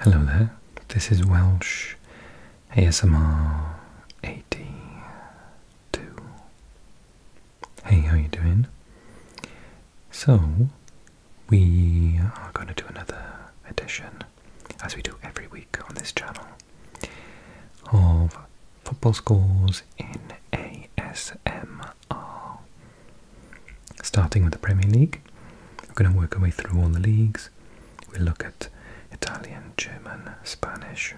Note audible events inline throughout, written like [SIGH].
Hello there, this is Welsh ASMR 82. Hey, how you doing? So, we are going to do another edition, as we do every week on this channel, of football scores in ASMR. Starting with the Premier League, we're going to work our way through all the leagues. We'll look at Italian, German, Spanish,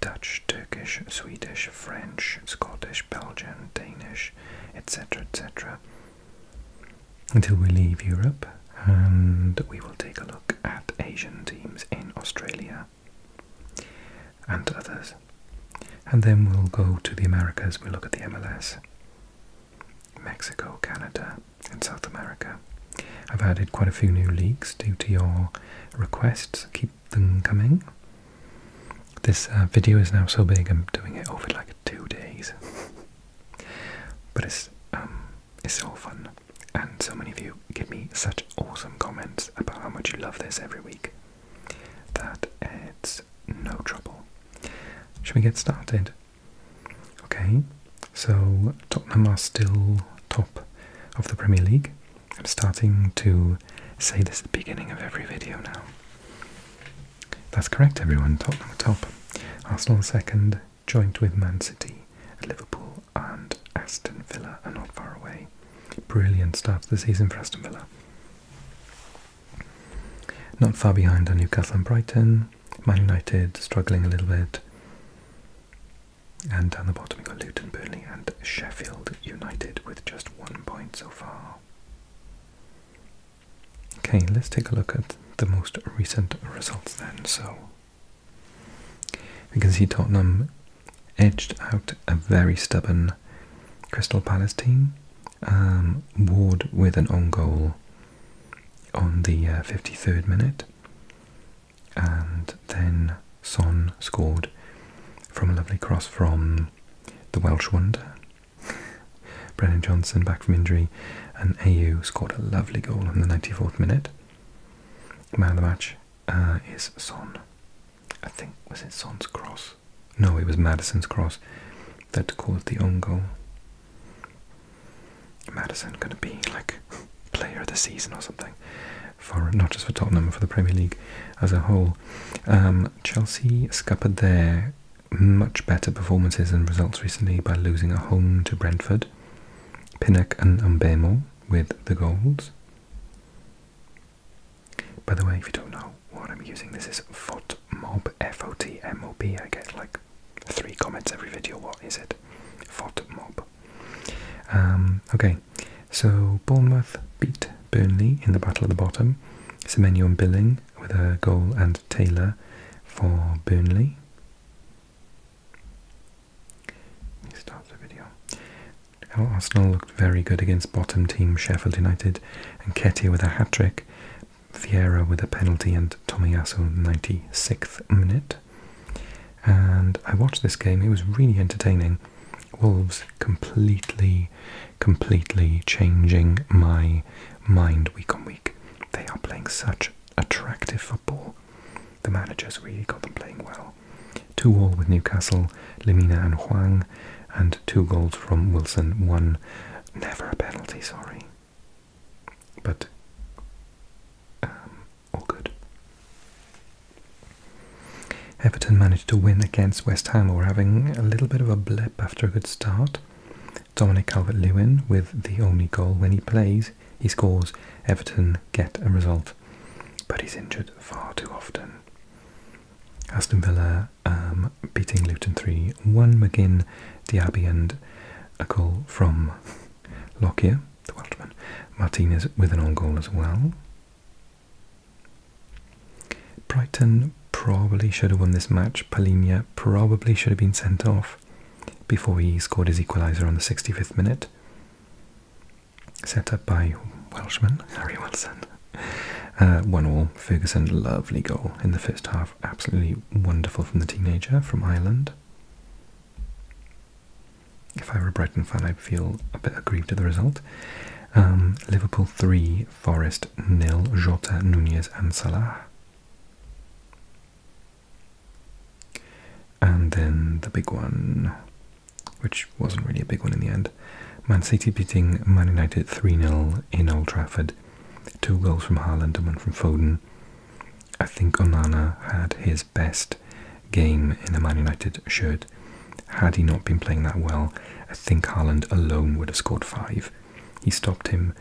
Dutch, Turkish, Swedish, French, Scottish, Belgian, Danish, etc. etc. Until we leave Europe, and we will take a look at Asian teams in Australia and others. And then we'll go to the Americas, we'll look at the MLS, Mexico, Canada, and South America. I've added quite a few new leagues due to your requests. Keep them coming. This uh, video is now so big I'm doing it over like two days. [LAUGHS] but it's um, it's so fun. And so many of you give me such awesome comments about how much you love this every week that it's no trouble. Should we get started? Okay, so Tottenham are still top of the Premier League. I'm starting to say this at the beginning of every video now. That's correct, everyone. Tottenham top. Arsenal second, joint with Man City, Liverpool, and Aston Villa are not far away. Brilliant start to the season for Aston Villa. Not far behind are Newcastle and Brighton. Man United struggling a little bit. And down the bottom, you've got Luton, Burnley, and Sheffield United with just one point so far. Okay, let's take a look at the most recent results then. So, we can see Tottenham edged out a very stubborn Crystal Palace team um, Ward with an on goal on the 53rd uh, minute, and then Son scored from a lovely cross from the Welsh wonder, [LAUGHS] Brennan Johnson back from injury, and AU scored a lovely goal in the 94th minute. Man of the match uh, is Son. I think was it Son's cross? No, it was Madison's cross that caused the own Madison going to be like player of the season or something for not just for Tottenham, for the Premier League as a whole. Um, Chelsea scuppered their much better performances and results recently by losing at home to Brentford. Pinnock and Umbemo with the goals. By the way, if you don't know, what I'm using. This is FOTMOB, F-O-T-M-O-B. I get like three comments every video. What is it? FOTMOB. Um, okay, so Bournemouth beat Burnley in the Battle at the Bottom. Semenyo and Billing with a goal and Taylor for Burnley. Let me the video. Arsenal looked very good against bottom team Sheffield United and Ketty with a hat-trick, Fiera with a penalty and Tomiyasu 96th minute. And I watched this game, it was really entertaining. Wolves completely, completely changing my mind week on week. They are playing such attractive football. The managers really got them playing well. Two all with Newcastle, Lemina and Huang, and two goals from Wilson. One, never a penalty, sorry. But um, all good. Everton managed to win against West Ham, who having a little bit of a blip after a good start. Dominic Calvert-Lewin, with the only goal when he plays, he scores. Everton get a result, but he's injured far too often. Aston Villa um, beating Luton 3 1. McGinn, Diaby, and a goal from Lockyer, the Welshman. Martinez with an own goal as well. Brighton probably should have won this match. Palinha probably should have been sent off before he scored his equaliser on the 65th minute. Set up by Welshman, Harry Wilson. Uh, one all, Ferguson, lovely goal in the first half absolutely wonderful from the teenager from Ireland. If I were a Brighton fan, I'd feel a bit aggrieved at the result. Um, Liverpool 3, Forest nil. Jota, Nunez, and Salah. And then the big one, which wasn't really a big one in the end Man City beating Man United 3 0 in Old Trafford. Two goals from Haaland and one from Foden. I think Onana had his best game in a Man United shirt. Had he not been playing that well, I think Haaland alone would have scored five. He stopped him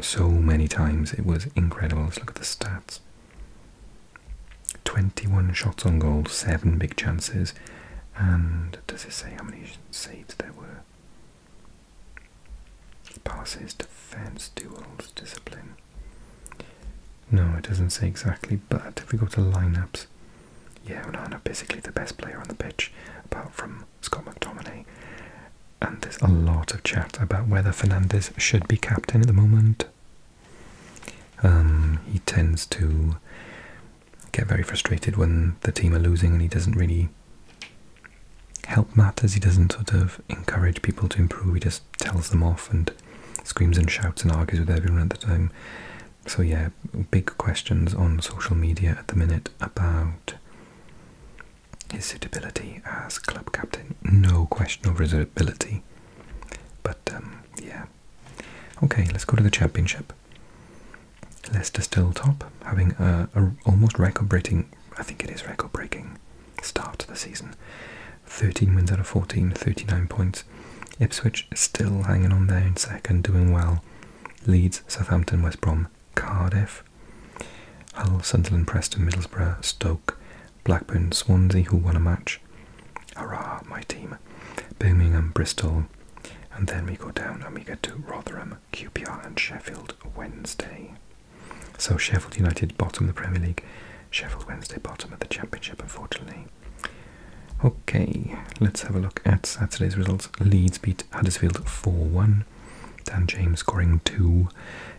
so many times, it was incredible. look at the stats 21 shots on goal, 7 big chances. And does it say how many saves there were? Passes, defense, duels, discipline. No, it doesn't say exactly, but if we go to lineups, yeah, Onana basically the best player on the pitch, apart from Scott McTominay. And there's a lot of chat about whether Fernandez should be captain at the moment. Um, he tends to get very frustrated when the team are losing, and he doesn't really help matters. He doesn't sort of encourage people to improve. He just tells them off and screams and shouts and argues with everyone at the time. So yeah, big questions on social media at the minute about his suitability as club captain. No question over his ability. But um, yeah. Okay, let's go to the championship. Leicester still top, having a, a almost record-breaking I think it is record breaking start to the season. 13 wins out of 14, 39 points. Ipswich still hanging on there in second, doing well. Leeds, Southampton, West Brom, Cardiff, Hull, Sunderland, Preston, Middlesbrough, Stoke, Blackburn, Swansea, who won a match. Hurrah, my team. Birmingham, Bristol, and then we go down and we get to Rotherham QPR and Sheffield Wednesday. So Sheffield United bottom the Premier League, Sheffield Wednesday bottom of the Championship, unfortunately. Okay, let's have a look at Saturday's results. Leeds beat Huddersfield 4 1. Dan James scoring 2,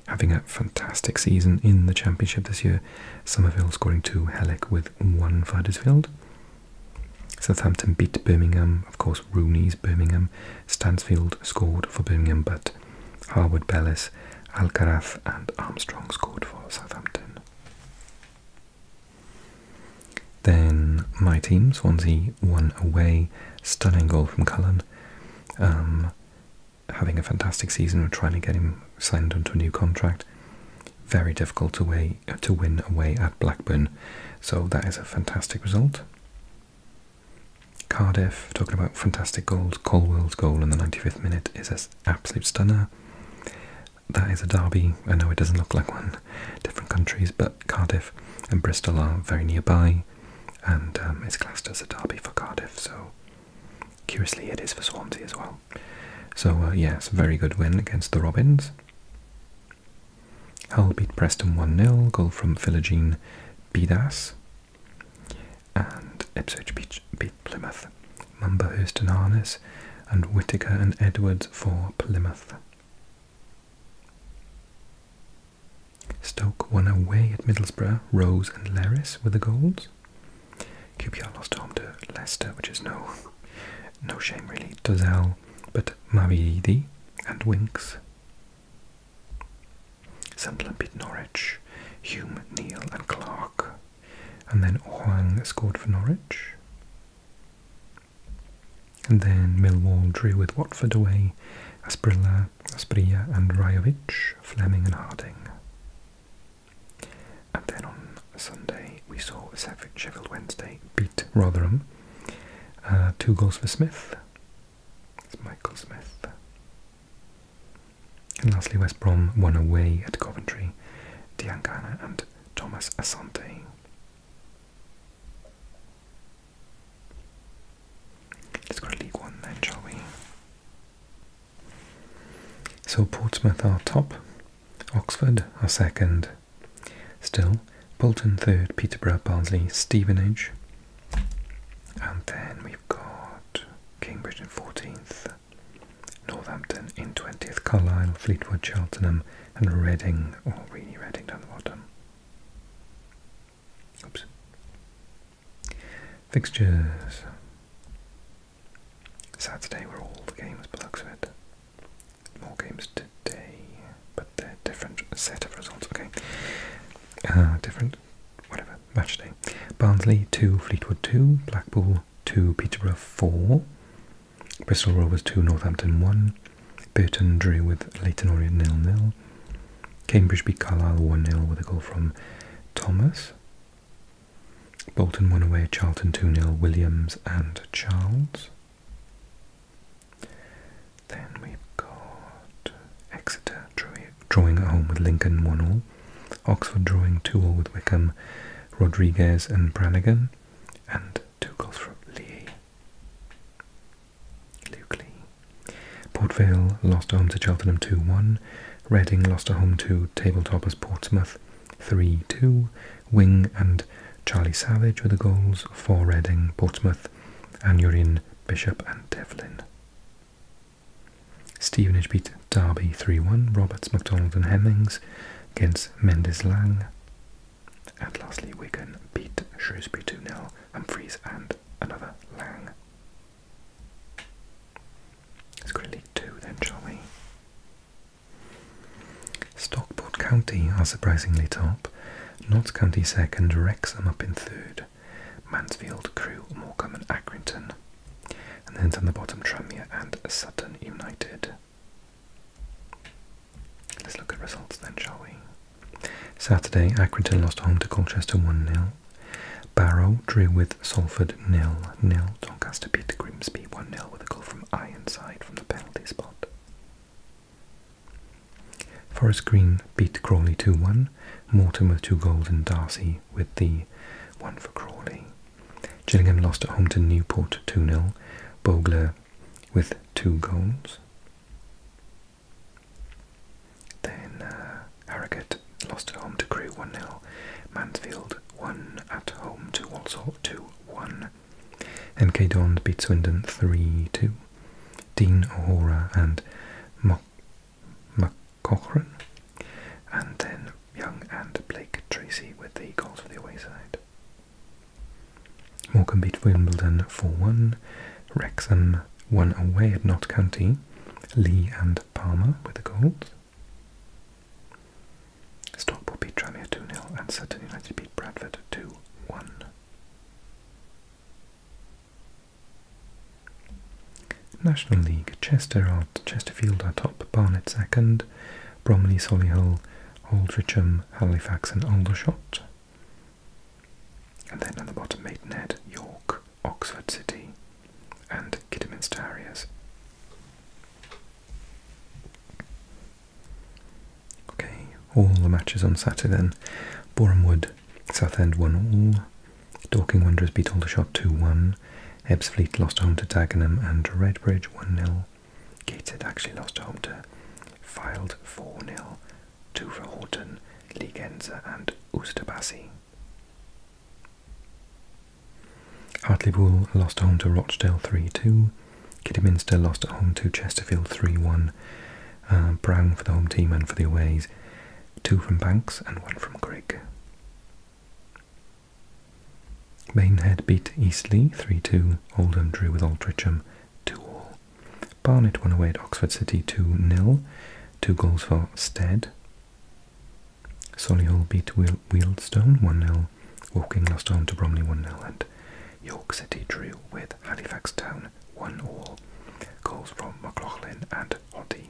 having a fantastic season in the Championship this year. Somerville scoring 2, Halleck with 1 for Huddersfield. Southampton beat Birmingham, of course, Rooney's Birmingham, Stansfield scored for Birmingham, but Harwood, Bellis, Alcaraz, and Armstrong scored for Southampton. Then my team, Swansea, won away. Stunning goal from Cullen. Um, having a fantastic season, and trying to get him signed onto a new contract. Very difficult to, to win away at Blackburn, so that is a fantastic result. Cardiff, talking about fantastic goals. Colewell's goal in the 95th minute is an absolute stunner. That is a derby. I know it doesn't look like one. Different countries, but Cardiff and Bristol are very nearby, and um, it's classed as a derby for Cardiff. So, curiously, it is for Swansea as well. So, uh, yes, very good win against the Robins. Hull beat Preston 1 0, goal from Philogene Bidas. And Ipswich beat, Plymouth. Mumberhurst and Harness, and Whitaker and Edwards for Plymouth. Stoke won away at Middlesbrough, Rose and Leris were the goals. QPR lost home to Leicester, which is no no shame really. Dozell, but Mavidi and Winks Sunderland Norwich, Hume, Neil, and Clarke, and then Huang scored for Norwich. And then Millwall drew with Watford away, Asprilla, Asprilla and Rajovic, Fleming and Harding. And then on Sunday we saw Sheffield Wednesday beat Rotherham, uh, two goals for Smith, it's Michael Smith. And lastly, West Brom won away at Coventry. Diangana and Thomas Asante. Let's go to League One then, shall we? So Portsmouth are top, Oxford are second. Still, Bolton third, Peterborough, Barnsley, Stevenage, and then we've got Cambridge in 14th, Northampton in 20th, Carlisle, Fleetwood, Cheltenham, and Reading, or oh, really Reading down the bottom. Oops. Fixtures. Saturday were all the games, by looks of it. More games today, but they're different set of results, okay. Ah, different, whatever, match day. Barnsley 2, Fleetwood 2, Blackpool 2, Peterborough 4, Bristol Rovers 2, Northampton 1, Burton drew with Leighton Orient nil. 0, Cambridge beat Carlisle 1 nil with a goal from Thomas, Bolton won away, Charlton 2 nil. Williams and Charles. Then we've got Exeter drawing at home with Lincoln 1 0. Oxford drawing 2 0 with Wickham, Rodriguez and Brannigan, and two goals from Lee. Luke Lee. Port Vale lost at home to Cheltenham 2 1. Reading lost at home to as Portsmouth 3 2. Wing and Charlie Savage with the goals for Reading, Portsmouth, and you're in. Bishop and Devlin. Stevenage beat Derby 3-1, Roberts, MacDonald and Hemings against Mendes Lang. And lastly, Wigan beat Shrewsbury 2-0, Humphreys and another Lang. Let's go to League 2 then, shall we? Stockport County are surprisingly top. Notts County second, Wrexham up in third. Mansfield, Crew, Morecambe and Accrington. And then down the bottom, Tranmere and Sutton United. Let's look at results then, shall we? Saturday, Accrington lost home to Colchester 1 0. Barrow drew with Salford nil nil. Doncaster beat Grimsby 1 0 with a goal from Ironside from the penalty spot. Forest Green beat Crawley 2-1, Mortimer to Gold and Darcy with the one for Crawley. Gillingham lost at home to Newport 2-0, Bogler with two goals. Then uh, Harrogate lost at home to Crewe 1-0, Mansfield won at home to Walsall 2-1. NK Dons beat Swindon 3-2. Dean O'Hora and Mok. McCochran, and then Young and Blake Tracy with the goals for the away side. Morecambe beat Wimbledon 4-1, Wrexham won away at Nott Lee and Palmer with the goals. Stockport beat Tranmere 2-0 and Sutton United beat Bradford 2-1. National League, Chester out, Chesterfield are top, Barnet second, Bromley, Solihull, Aldricham, Halifax and Aldershot. And then at the bottom, Maidenhead, York, Oxford City and Kidderminster Harriers. Okay, all the matches on Saturday then. Boreham Wood Southend won all. Dorking Wanderers beat Aldershot 2-1. Ebbsfleet lost home to Dagenham and Redbridge 1-0. Gateshead actually lost home to Filed 4-0. Two for Horton, Leaguenza and Oosterbassey. Hartlepool lost home to Rochdale 3-2. Kidderminster lost at home to Chesterfield 3-1. Uh, brown for the home team and for the aways, two from Banks and one from Grigg. Mainhead beat Eastleigh 3-2, Oldham drew with Altrincham 2-all. Barnet won away at Oxford City 2-0, two goals for Stead. Solihull beat Wealdstone 1-0, Woking lost home to Bromley 1-0 and York City drew with Halifax Town 1 all. calls from McLaughlin and Hoddy.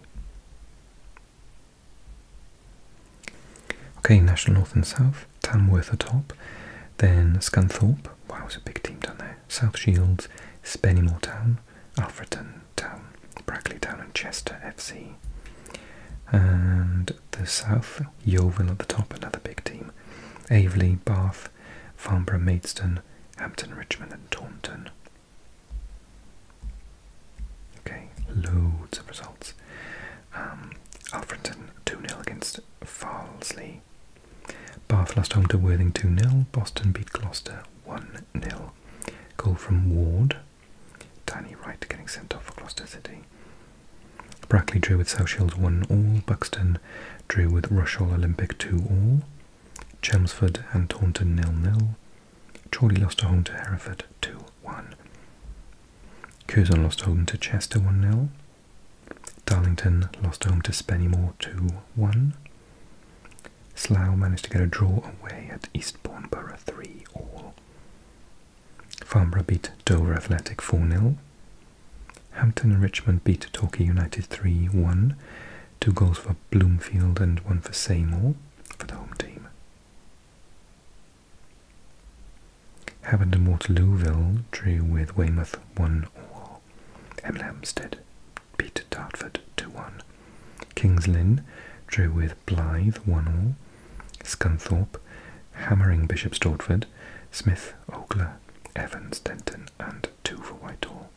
Okay, National North and South, Tamworth at top, then Scunthorpe, wow, it's a big team down there, South Shields, Spennymoor Town, Alfreton Town, Brackley Town, and Chester FC. And the South, Yeovil at the top, another big team, Avely, Bath, Farnborough, Maidstone, Hampton, Richmond, and Taunton. Okay, loads of results. Um, Alfreton 2 0 against Farlesley. Bath lost home to Worthing 2 0. Boston beat Gloucester 1 0. Goal from Ward. Danny Wright getting sent off for Gloucester City. Brackley drew with South Shields 1 all. Buxton drew with Rushall Olympic 2 all. Chelmsford and Taunton nil-nil. Chorley lost home to Hereford 2-1. Curzon lost home to Chester 1-0. Darlington lost home to Spennymoor 2-1. Slough managed to get a draw away at Eastbourne Borough 3-all. Farnborough beat Dover Athletic 4-0. Hampton and Richmond beat Torquay United 3-1 two goals for Bloomfield and one for Seymour for the home team. Havant and Waterlooville drew with Weymouth 1 all. Hemel Hempstead beat Dartford 2 1. Kings Lynn drew with Blyth 1 all. Scunthorpe hammering Bishop Stortford, Smith, Ogler, Evans, Denton, and two for Whitehall.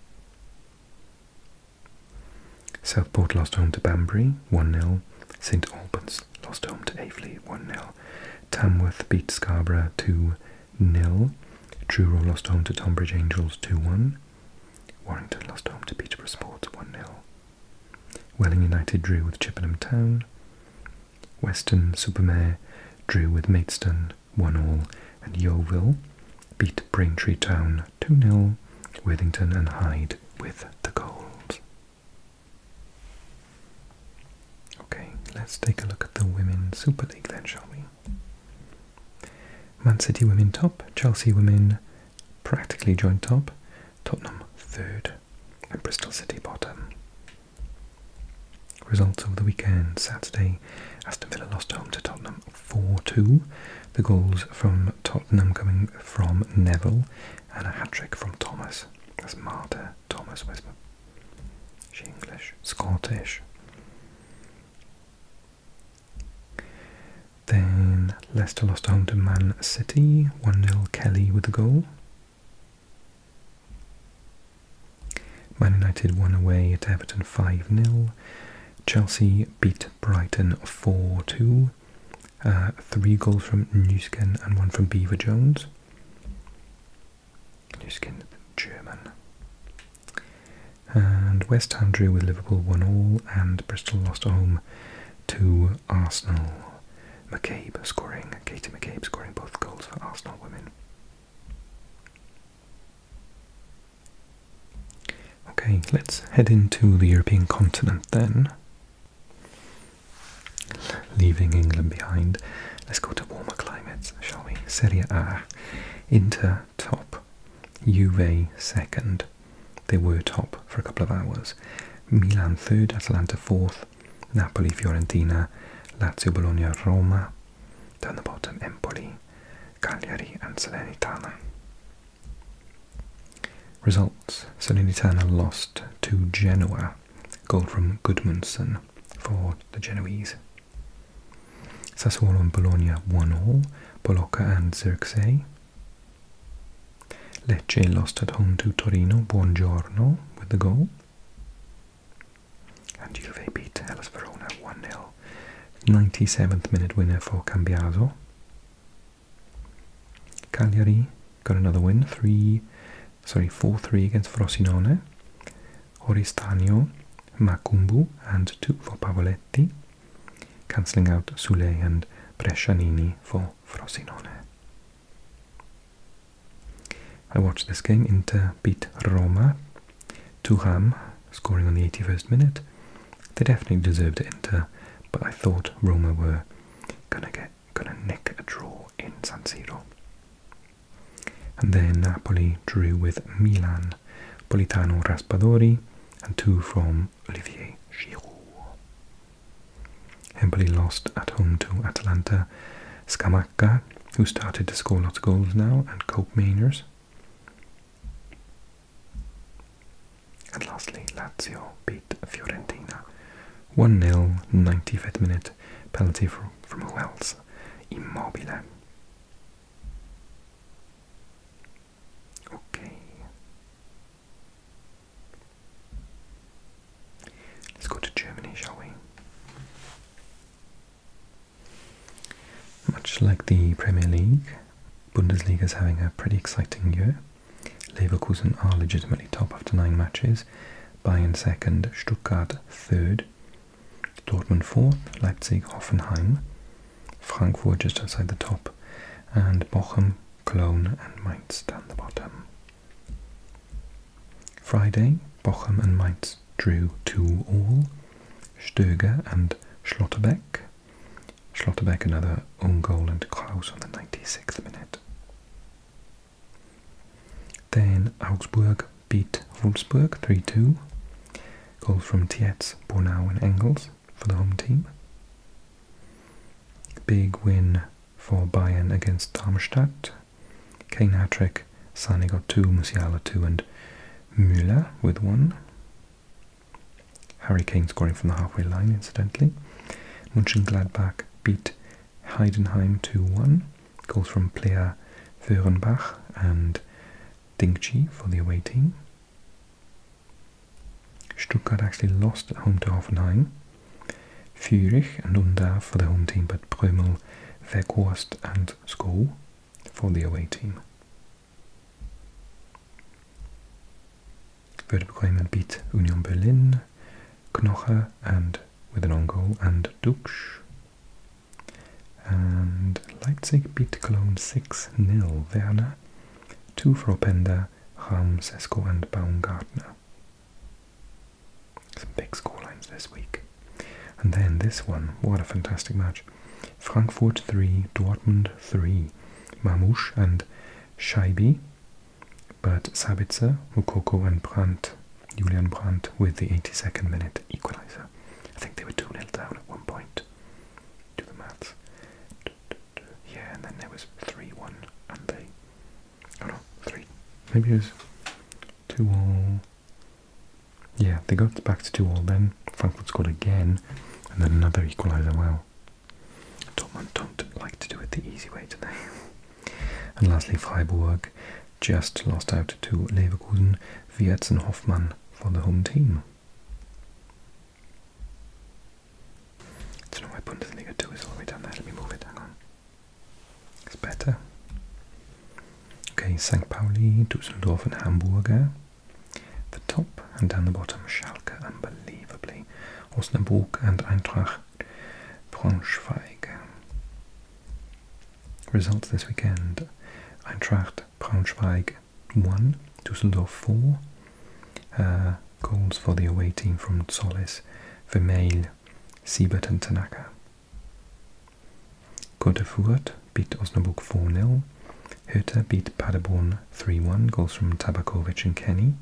Southport lost home to Banbury 1 0. St Albans lost home to Avely 1 0. Tamworth beat Scarborough 2 0. Truro lost home to Tonbridge Angels 2 1. Warrington lost home to Peterborough Sports 1 0. Welling United drew with Chippenham Town. Weston Super Mare drew with Maidstone 1 all, and Yeovil beat Braintree Town 2 0, Worthington and Hyde with the goals. Okay, let's take a look at the Women's Super League then, shall we? Man City women top, Chelsea women practically joint top, Tottenham third, and Bristol City bottom. Results of the weekend. Saturday, Aston Villa lost home to Tottenham 4-2. The goals from Tottenham coming from Neville and a hat-trick from Thomas. That's Marta Thomas Whisper. She English, Scottish. Then Leicester lost home to Man City, 1-0 Kelly with the goal. Man United won away at Everton 5-0. Chelsea beat Brighton 4 2. Uh, three goals from Newskin and one from Beaver Jones. Newskin, German. And West Ham drew with Liverpool 1 all, and Bristol lost at home to Arsenal. McCabe scoring, Katie McCabe scoring both goals for Arsenal women. Okay, let's head into the European continent then. Leaving England behind, let's go to warmer climates, shall we? Serie A, Inter top, Juve second. They were top for a couple of hours. Milan third, Atalanta fourth, Napoli, Fiorentina, Lazio, Bologna, Roma, down the bottom Empoli, Cagliari, and Salernitana. Results Salernitana lost to Genoa, goal from Goodmanson for the Genoese. Sassuolo and Bologna 1 all, Bolocca and Xerxes. Lecce lost at home to Torino, Buongiorno with the goal. And Juve beat Hellas Verona 1 0. 97th minute winner for Cambiasso. Cagliari got another win, three, sorry, four three against Frosinone. Oristano, Makumbu, and two for Pavoletti, cancelling out Sule and Brescianini for Frosinone. I watched this game. Inter beat Roma Tuham scoring on the 81st minute. They definitely deserved to enter, but I thought Roma were gonna get gonna nick a draw in San Siro. And then Napoli drew with Milan, Politano Raspadori, and two from Olivier Giroud. Empoli lost at home to Atalanta. Scamacca, who started to score lots of goals now, and Cope Mainers. And lastly, Lazio beat Fiorentina 1 0, 95th minute penalty from, from who else? Immobile. Okay. Let's go to Germany, shall we? Much like the Premier League, Bundesliga is having a pretty exciting year. Leverkusen are legitimately top after nine matches, Bayern second, Stuttgart third, Dortmund fourth, Leipzig, Hoffenheim, Frankfurt just outside the top, and Bochum, Cologne, and Mainz down the bottom. Friday, Bochum and Mainz drew 2 all. Stürger and Schlatterbeck. Schlotterbeck another own goal and Kraus on the 96th minute. Then Augsburg beat Wolfsburg 3-2. Goals from Tietz, Bornau and Engels for the home team. Big win for Bayern against Darmstadt. Kane hat-trick, two, Musiala two and Müller with one. Harry Kane scoring from the halfway line, incidentally. Gladbach beat Heidenheim 2-1. Goals from player Föhrenbach and Dingchi for the away team. Stuttgart actually lost home to Hoffenheim. Fürich and Unda for the home team, but Brömel, Weghorst and Schoo for the away team. Werder beat Union Berlin, Knoche and with an own and Duksch. And Leipzig beat Cologne 6 nil. Werner, 2 for Openda, Rams, and Baumgartner. Some big scorelines this week. And then this one, what a fantastic match. Frankfurt 3, Dortmund 3, Mamouche and Scheibe, but Sabitzer, Mukoko and Brandt, Julian Brandt with the 82nd minute equaliser. I think they were 2 nil down at one point. Do the maths. Yeah, and then there was 3-1 and they... Oh no, 3. Maybe it was 2 all yeah, they got back to 2 all then. Frankfurt scored again, and then another equaliser. Well, Dortmund don't like to do it the easy way today. [LAUGHS] and lastly, Freiburg just lost out to Leverkusen, Wiertz and Hoffmann for the home team. I don't Bundesliga 2 is all the way down there. Let me move it, hang on. It's better. Okay, St. Pauli, Dusseldorf and Hamburger. The top and down the bottom, Schalke, unbelievably. Osnabrück and Eintracht Braunschweig. Results this weekend. Eintracht Braunschweig 1, Dusseldorf 4. Uh, for the away team from Solis, Vermeil, Sibert and Tanaka. Got a Godefurt Bit Osnabrück 4-0. Hertha beat Paderborn 3-1, goals from Tabakovic and Kenny.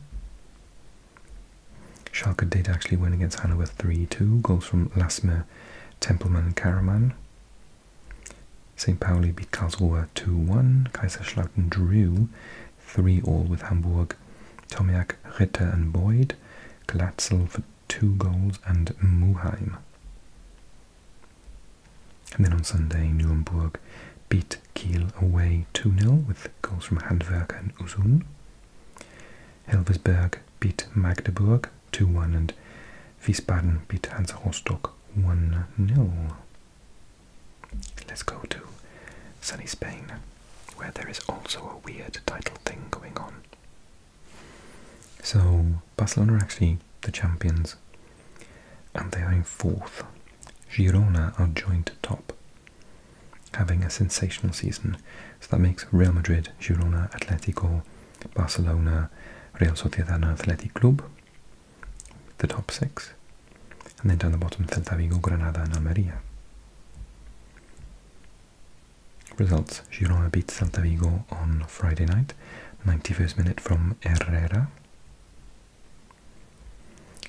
Schalke did actually win against Hannover 3-2, goals from Lasmer, Tempelman Karaman. St. Pauli beat Karlsruhe 2-1, Kaiserslautern drew 3-all with Hamburg, Tomiak, Ritter and Boyd, Glatzel for two goals and Muheim. And then on Sunday, Nuremberg beat Kiel away 2-0 with goals from Handwerk and Uzun. Helversberg beat Magdeburg 2-1 and Wiesbaden beat Hansa Rostock 1-0. Let's go to sunny Spain, where there is also a weird title thing going on. So, Barcelona are actually the champions and they are in fourth. Girona are joint top, having a sensational season. So that makes Real Madrid, Girona, Atletico, Barcelona, Real Sociedad and Athletic Club the top six. And then down the bottom, Celta Vigo, Granada and Almeria. Results. Girona beat Celta Vigo on Friday night. 91st minute from Herrera.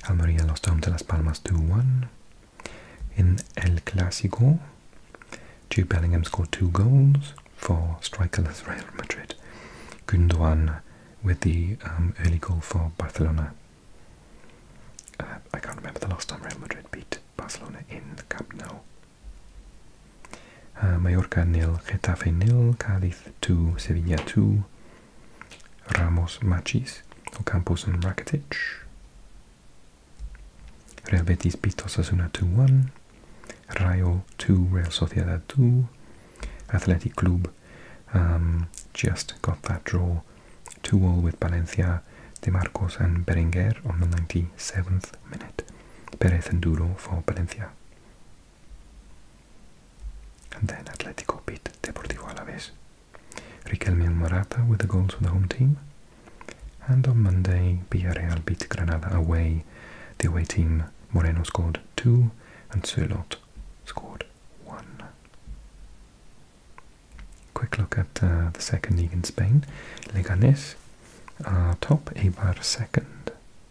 Almeria lost to Las Palmas 2-1. In El Clasico, Jude Bellingham scored two goals for strikerless Real Madrid. Gundogan with the um, early goal for Barcelona. Uh, I can't remember the last time Real Madrid beat Barcelona in the Cup. Nou. Uh, Mallorca nil, Getafe nil, Cádiz 2, Sevilla 2, Ramos Machis, Ocampos and Rakitic. Real Betis beat Osasuna 2-1, Rayo 2, Real Sociedad 2, Athletic Club um, just got that draw 2-all with Valencia, De Marcos and Berenguer on the 97th minute. Perez and Duro for Valencia. And then Atletico beat Deportivo Alaves. Riquelme and Morata with the goals for the home team. And on Monday, Villarreal beat Granada away. The away team Moreno scored two and Sörlot scored one. Quick look at uh, the second league in Spain. Leganes are top, Eibar second,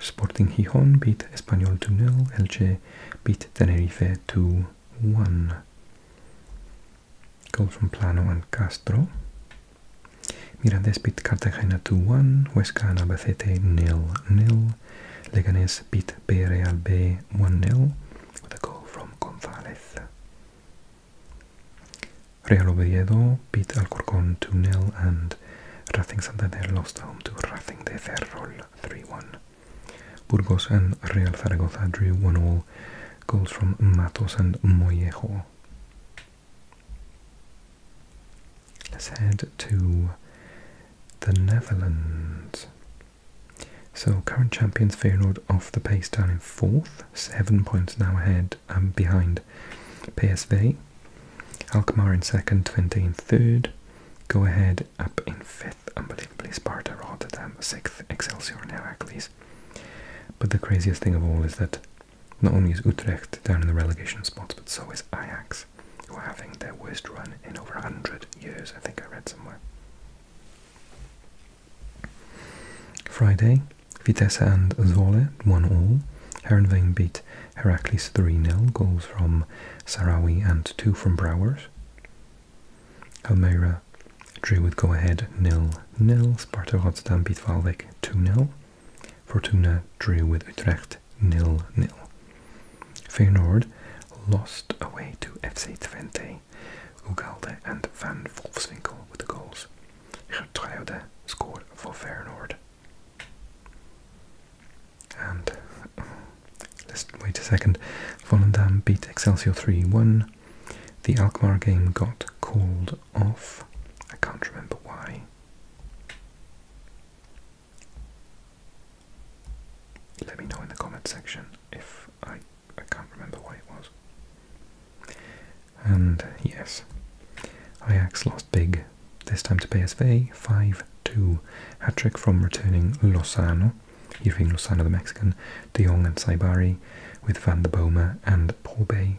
Sporting Gijon beat Espanyol 2-0, Elche beat Tenerife 2-1. Goals from Plano and Castro. Mirandés beat Cartagena 2-1, Huesca and Albacete nil nil. Leganés beat Villarreal B 1-0 with a goal from González. Real Oviedo beat Alcorcón 2-0 and Racing Santander lost home to Racing de Ferrol 3-1. Burgos and Real Zaragoza drew 1-all, goals from Matos and Mollejo. Let's head to the Netherlands. So current champions Feyenoord off the pace down in fourth, seven points now ahead and behind PSV. Alkmaar in second, Twente in third. Go ahead up in fifth, unbelievably. Sparta, Rotterdam sixth, Excelsior now Heracles. But the craziest thing of all is that not only is Utrecht down in the relegation spots, but so is Ajax, who are having their worst run in over 100 years, I think I read somewhere. Friday, Vitesse and Zwolle won all. Herenveen beat beat Heracles 3-0, goals from Sarawi and two from Browers. Almeida drew with go-ahead nil-nil. Sparta Rotterdam beat Valvik 2 nil Fortuna drew with Utrecht nil-nil. Feyenoord lost away to FC Twente, Ugalde and Van Wolfswinkel with the goals. Gertruide scored for Feyenoord let's wait a second. Volendam beat Excelsior 3 1. The Alkmaar game got called off. I can't remember why. Let me know in the comment section if I, I can't remember why it was. And yes, Ajax lost big this time to pay PSV, 5-2. Hat-trick from returning Losano, you've seen Losano, the Mexican, De Jong and Saibari with Van der Boma and Porbay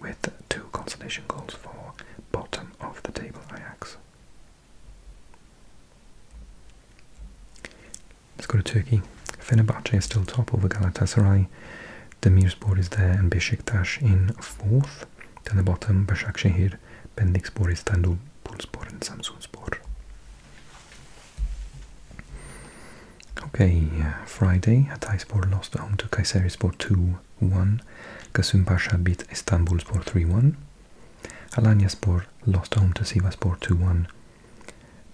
with two consolation goals for bottom of the table Ajax. Let's go to Turkey. Fenerbahce is still top over Galatasaray. Demirspor is there and Besiktas in fourth north. the bottom Başakşehir, Pendikspor, Istanbul, Pulspor and Samsunspor. Okay, uh, Friday, Hatayspor lost home to Kayserispor 2-1. Kasım Pasha beat Istanbulspor 3-1. Alanyaspor lost home to Sivaspor 2-1.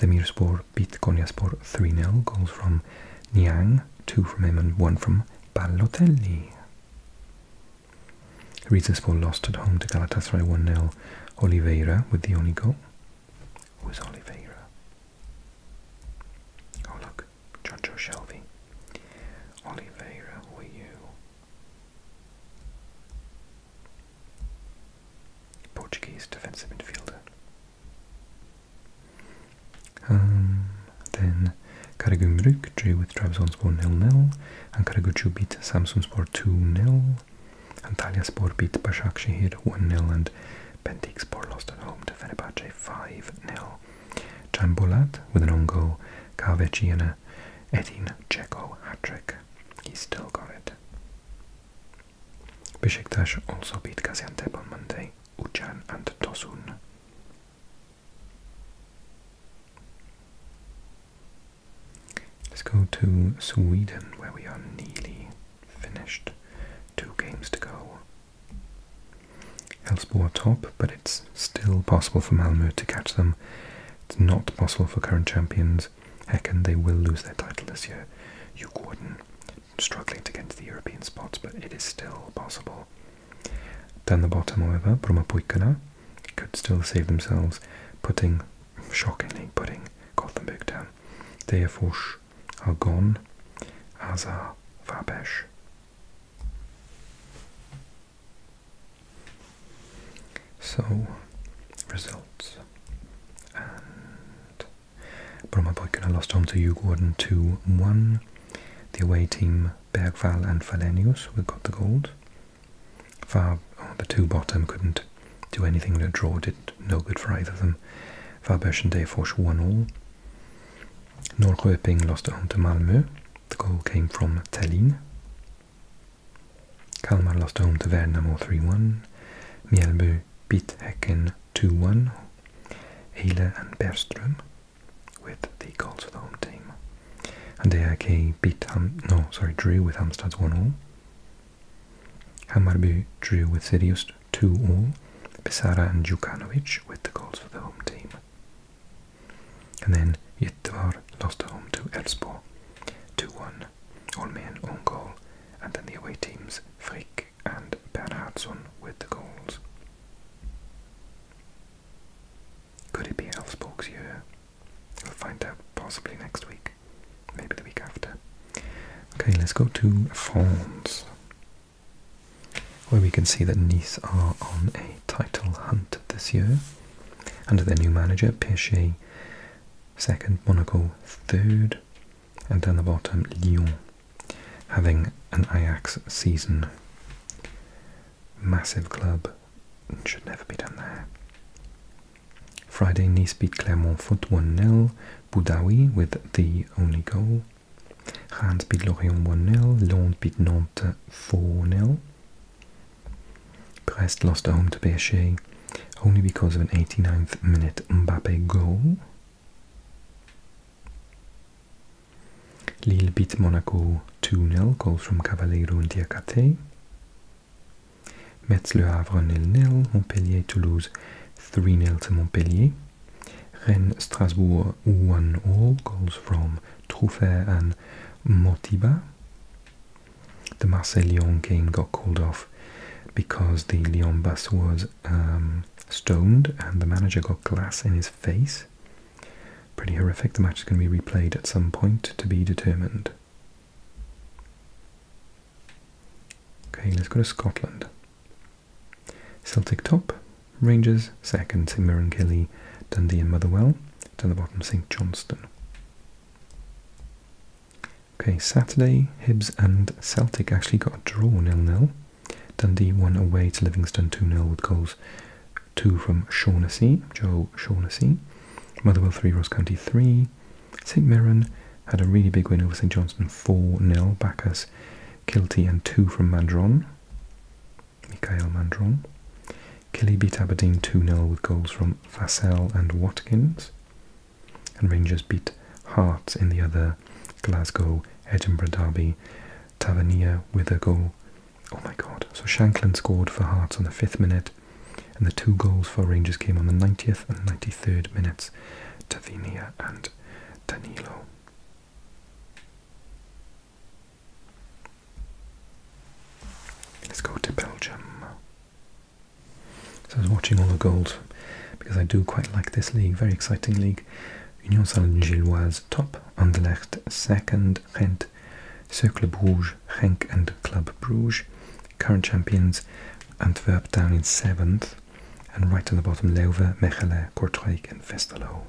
Demirspor beat Konyaspor 3-0. Goals from Niang, two from him and one from Balotelli. Rizespor lost at home to Galatasaray 1-0. Oliveira with the only goal. Was Oliveira? Oh look, Jojo Shelby. Oliveira, who you? Portuguese defensive midfielder. Um, then Karagümrük drew with Trabzonspor 0-0 and Karagucu beat Samsunspor 2-0. Antalyaspor beat Başakşehir 1-0 and Pentikspor lost at home to Fenerbahce 5-0. Can Bolat with an own goal, Kahveci and a Edin Dzeko hat-trick. He still got it. Besiktas also beat Gaziantep on Monday, Ucan and Tosun. Let's go to Sweden, where we are nearly finished. Two games to go. Elfsborg top, but it's still possible for Malmö to catch them. It's not possible for current champions. Hecken, they will lose their title this year. You Gordon struggling to get to the European spots, but it is still possible. Down the bottom, however, Brahmapoikana could still save themselves, putting, shockingly, putting got them Gothenburg down. Deafors are gone, as are Vabesh. So, results. And Brahmapoikana lost home to Ugorden 2 1. The away team Bergvall and Valenius who got the gold. Far, oh, the two bottom couldn't do anything. The draw did no good for either of them. Varberg and Degerfors won all. Norrköping lost at home to Malmö. The goal came from Tallinn. Kalmar lost home to Värnamo 3-1. Mjällby beat Häcken 2-1. Eile and Berström with the goals for the home team. And AIK beat Ham no, sorry, drew with Hamstads 1-0. Hammarby drew with Sirius 2-0. Pesara and Jukanovic with the goals for the home team. And then Yitvar lost at home to Elfsborg 2-1. All men own goal. And then the away teams Frick and Bernhardsson with the goals. Could it be Elfsborg's year? We'll find out possibly next week, maybe the week after. Okay, let's go to France, where we can see that Nice are on a title hunt this year under their new manager, Pichet second, Monaco third, and down the bottom, Lyon having an Ajax season. Massive club, should never be done there. Friday, Nice beat Clermont Foot 1 0, Boudaoui with the only goal. Reims beat Lorient 1 0, Londres beat Nantes 4 0. Brest lost at home to PSG only because of an 89th minute Mbappe goal. Lille beat Monaco 2-0, goals from Cavaleiro and Diakate. Metz Le Havre 0 nil Montpellier Toulouse 3 nil to Montpellier. Rennes Strasbourg 1-all, goals from Truffert and Motiba. The Marseille Lyon game got called off because the Lyon bus was um, stoned and the manager got glass in his face. Pretty horrific. The match is going to be replayed at some point to be determined. Okay, let's go to Scotland. Celtic top, Rangers second, St Mirren Kelly, Dundee and Motherwell. Down the bottom, St Johnston. Okay, Saturday, Hibs and Celtic actually got a draw nil 0. Dundee won away to Livingston 2 nil with goals 2 from Shaughnessy, Joe Shaughnessy. Motherwell 3, Ross County 3. St Mirren had a really big win over St Johnstone 4 0. Bacchus, Kiltie and 2 from Mandron. Michael Mandron. Killy beat Aberdeen 2 0 with goals from Vassell and Watkins. And Rangers beat Hearts in the other Glasgow Edinburgh derby. Tavernier with a goal Oh my god. So Shanklin scored for Hearts on the 5th minute, and the two goals for Rangers came on the 90th and 93rd minutes. Tavinia and Danilo. Let's go to Belgium. So I was watching all the goals because I do quite like this league, very exciting league. Union Saint-Gilloise top, left, second, and Cercle Bruges, Genk and Club Bruges, current champions Antwerp down in 7th, and right on the bottom Leuven, Mechelen, Courtrai, and Westerlo.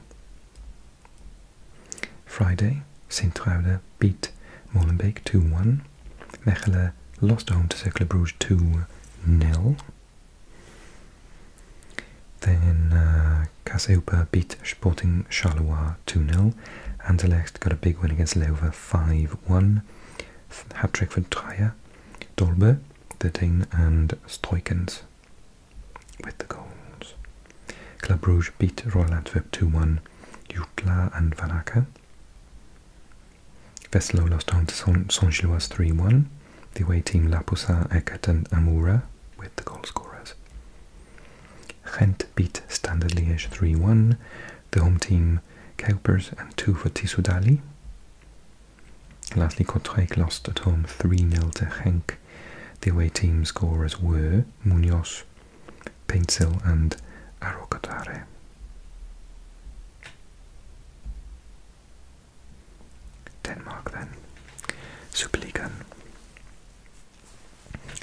Friday, Sint-Truiden beat Molenbeek 2-1, Mechelen lost home to Cercle Bruges 2 nil. Then uh, Cassiopeia beat Sporting Charleroi 2-0. Anderlecht got a big win against Leeuwen 5-1. Hat-trick for Dreyer, Dolbe, Ditting, and Stroikens with the goals. Club Brugge beat Royal Antwerp 2-1. Jutla and Vanaka. Veslo lost on to Saint-Gilloise 3-1. The away team Lapusa, Eckert and Amoura with the goal scorers. Gent beat Standard Liège 3-1, the home team Kuipers and 2 for Tisudali. Lastly, Kortrijk lost at home 3-0 to Henk. The away team scorers were Munoz, Paintsil and Arokotare. Denmark then. Superligaen.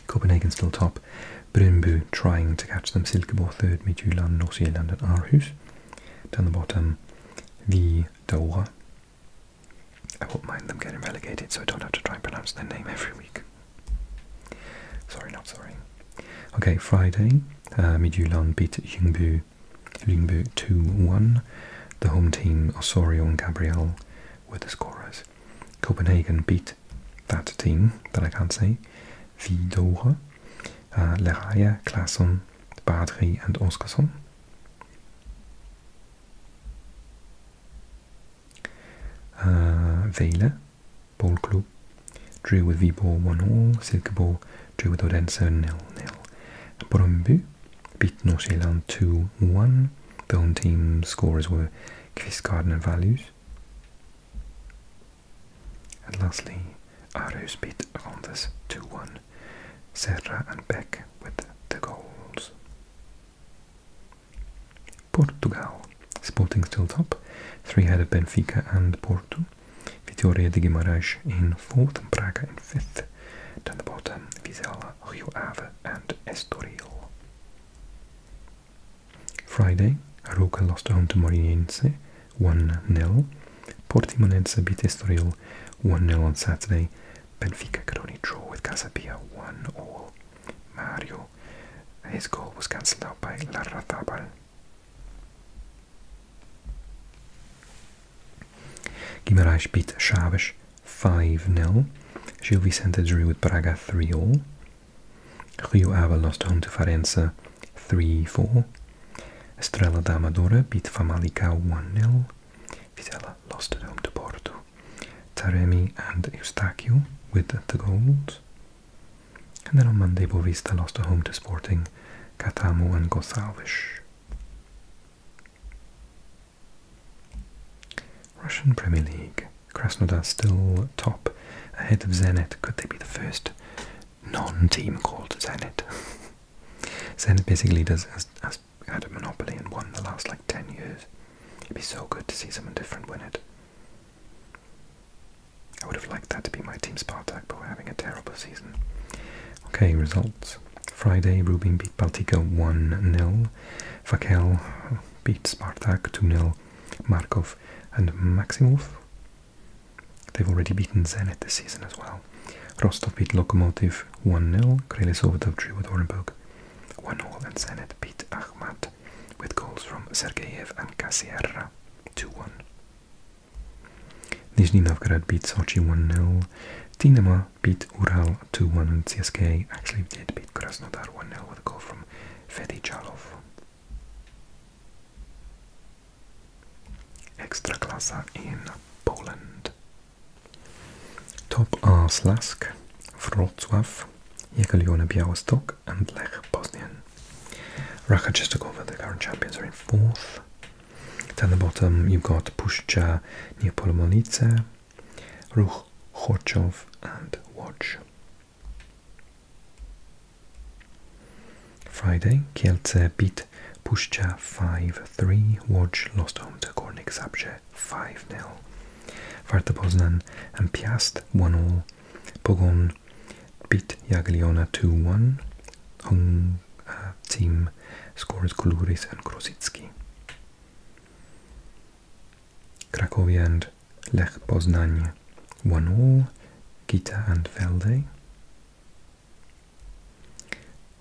Copenhagen still top, Brøndby trying to catch them, Silkeborg third, Midtjylland, North and Aarhus. Down the bottom, the Doha. I won't mind them getting relegated, so I don't have to try and pronounce their name every week. Sorry, not sorry. Okay, Friday, uh, Midtjylland beat Lyngby 2-1. The home team, Osorio and Gabriel, were the scorers. Copenhagen beat that team that I can't say, Vidore, uh, Leraya, Klassen, Badri, and Oskarsson. Uh, Vela, Ball Club, drew with Viborg 1-0, Silkeborg drew with Odense 0-0. Bromby beat North Zealand 2-1. The home team scorers were Chris Gardner values. And lastly, Arrows beat Rondes 2-1. Serra and Beck with the goals. Portugal. Sporting still top. Three ahead of Benfica and Porto. Vitória de Guimarães in fourth and Braga in fifth. Then the bottom, Vizela, Rio Ave and Estoril. Friday, Aroca lost home to Morinense 1-0. Portimonense beat Estoril 1-0 on Saturday. Benfica could only draw with Casabia 1-all. Mario, his goal was cancelled out by Larrazábal. Guimarães beat Chaves 5 0. Gil Vicente drew with Braga 3 0. Rio Ave lost home to Farense 3 4. Estrela da Amadora beat Famalicão 1 0. Vizela lost at home to Porto. Taremi and Eustáquio with the goals. And then on Monday, Bovista lost at home to Sporting, Catamo and Gonçalves. Russian Premier League. Krasnodar still top, ahead of Zenit. Could they be the first non-team called Zenit? [LAUGHS] Zenit basically does has, had a monopoly and won the last like ten years. It'd be so good to see someone different win it. I would have liked that to be my team Spartak, but we're having a terrible season. Okay, results. Friday, Rubin beat Baltica 1-0. Fakel beat Spartak 2-0, Markov and Maximov. They've already beaten Zenit this season as well. Rostov beat Lokomotiv 1-0, Krelesovdov drew with Orenburg 1-0 and Zenit beat Ahmad with goals from Sergeyev and Casierra 2-1. Nizhny Novgorod beat Sochi 1-0, Dinamo beat Ural 2-1 and CSK actually did beat Krasnodar 1-0 with a goal from Ekstra klasa in Poland. Top are Slask, Wrocław, Jagiellona Białystok and Lech Bosnian. Raka Czestochowa, the current champions, are in fourth. Down the bottom you've got Puszcza Niepolomolice, Ruch, Horchov and Watch. Friday, Kielce beat Puszcza 5-3, Watch lost home to Górnik Zabrze 5-0. Warta Poznan and Piast 1-0, Pogon beat Jagiellona 2-1, Hung team scores Kuluris and Krosicki. Cracovia and Lech Poznań one all, Gita and Velde.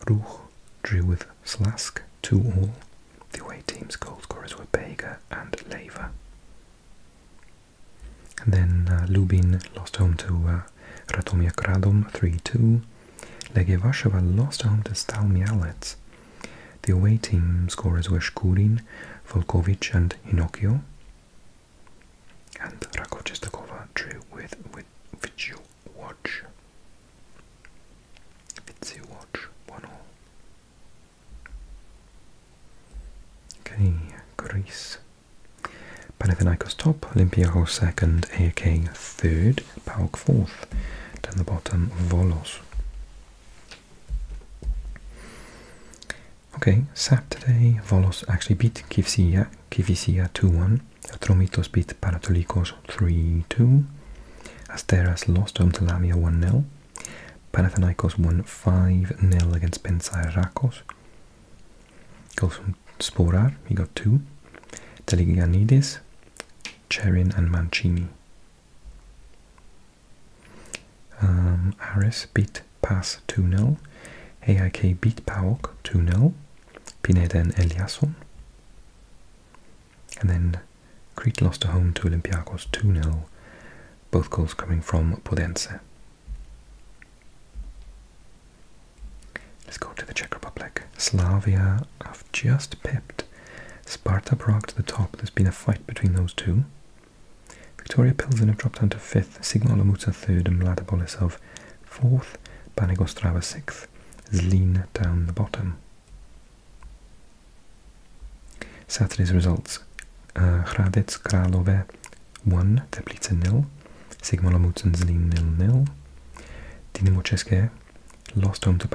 Ruch drew with Slask two all. The away team's goal scorers were Bega and Leva. then uh, Lubin lost home to uh, Ratomia Gradom 3-2. Legia lost home to Stal Mialec the away team scorers were Shkurin, Volkovic and Hinokio. And Rakov Chestakova drew with, with Vichu Watch. Vitsi Watch, one all. Okay, Greece. Panathinaikos top, Olympiakos second, AEK third, PAOK fourth. Down the bottom, Volos. Okay, Saturday, Volos actually beat Kivisia, Kivisia 2-1. Tromitos beat Panatolikos 3-2. Asteras lost home to Lamia 1-0. Panathinaikos won 5-0 against Pensairakos. Goals from Sporar, We got 2. Teliganides, Cherin and Mancini. Um, Ares beat PAS 2-0. AIK beat PAOK 2 nil, Pineda and Eliasson. And then Crete lost a home to Olympiacos 2 nil, Both goals coming from Podense. Let's go to the Czech Republic. Slavia have just piped. Sparta Prague to the top. There's been a fight between those two. Victoria Pilsen have dropped down to 5th, Signal Omuta 3rd and Mlada Boleslav 4th, Banigostrava 6th, Zlin down the bottom. Saturday's results. Uh, Hradec Kralove 1, Teplice nil, Sigma Lomutzen Zlin nil nil, Dinamo České lost home to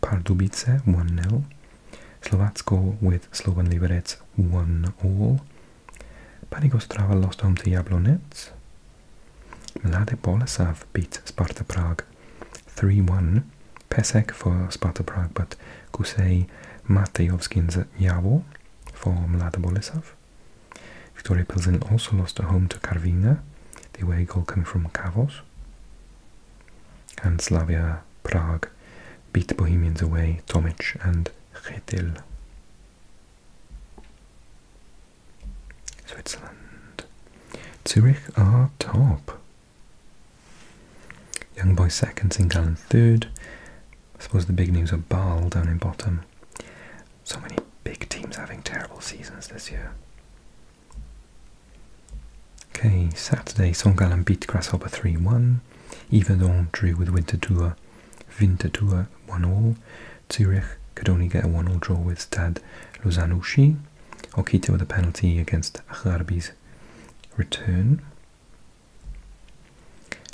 Pardubice 1 nil. Slovatsko with Slovan Liberec 1 all. Panigostrava lost home to Jablonec. Mlade Boleslav beat Sparta Prague 3-1. Pesek for Sparta Prague, but Kusej Matejovskin's Javo for Mlade Boleslav. Victoria Pilsen also lost a home to Karvina, the away goal coming from Kavos and Slavia Prague beat Bohemians away, Tomic and Chetil. Switzerland. Zurich are top. Young boy second, St Gallen third. I suppose the big news are Basel down in bottom. So many big teams having terrible seasons this year. Okay, Saturday, Songalan beat Grasshopper 3-1. Yverdon drew with Winterthur, Winterthur 1-0. Zurich could only get a 1-0 draw with Stad Lausanne Lozanushi. Okito with a penalty against Harbi's return.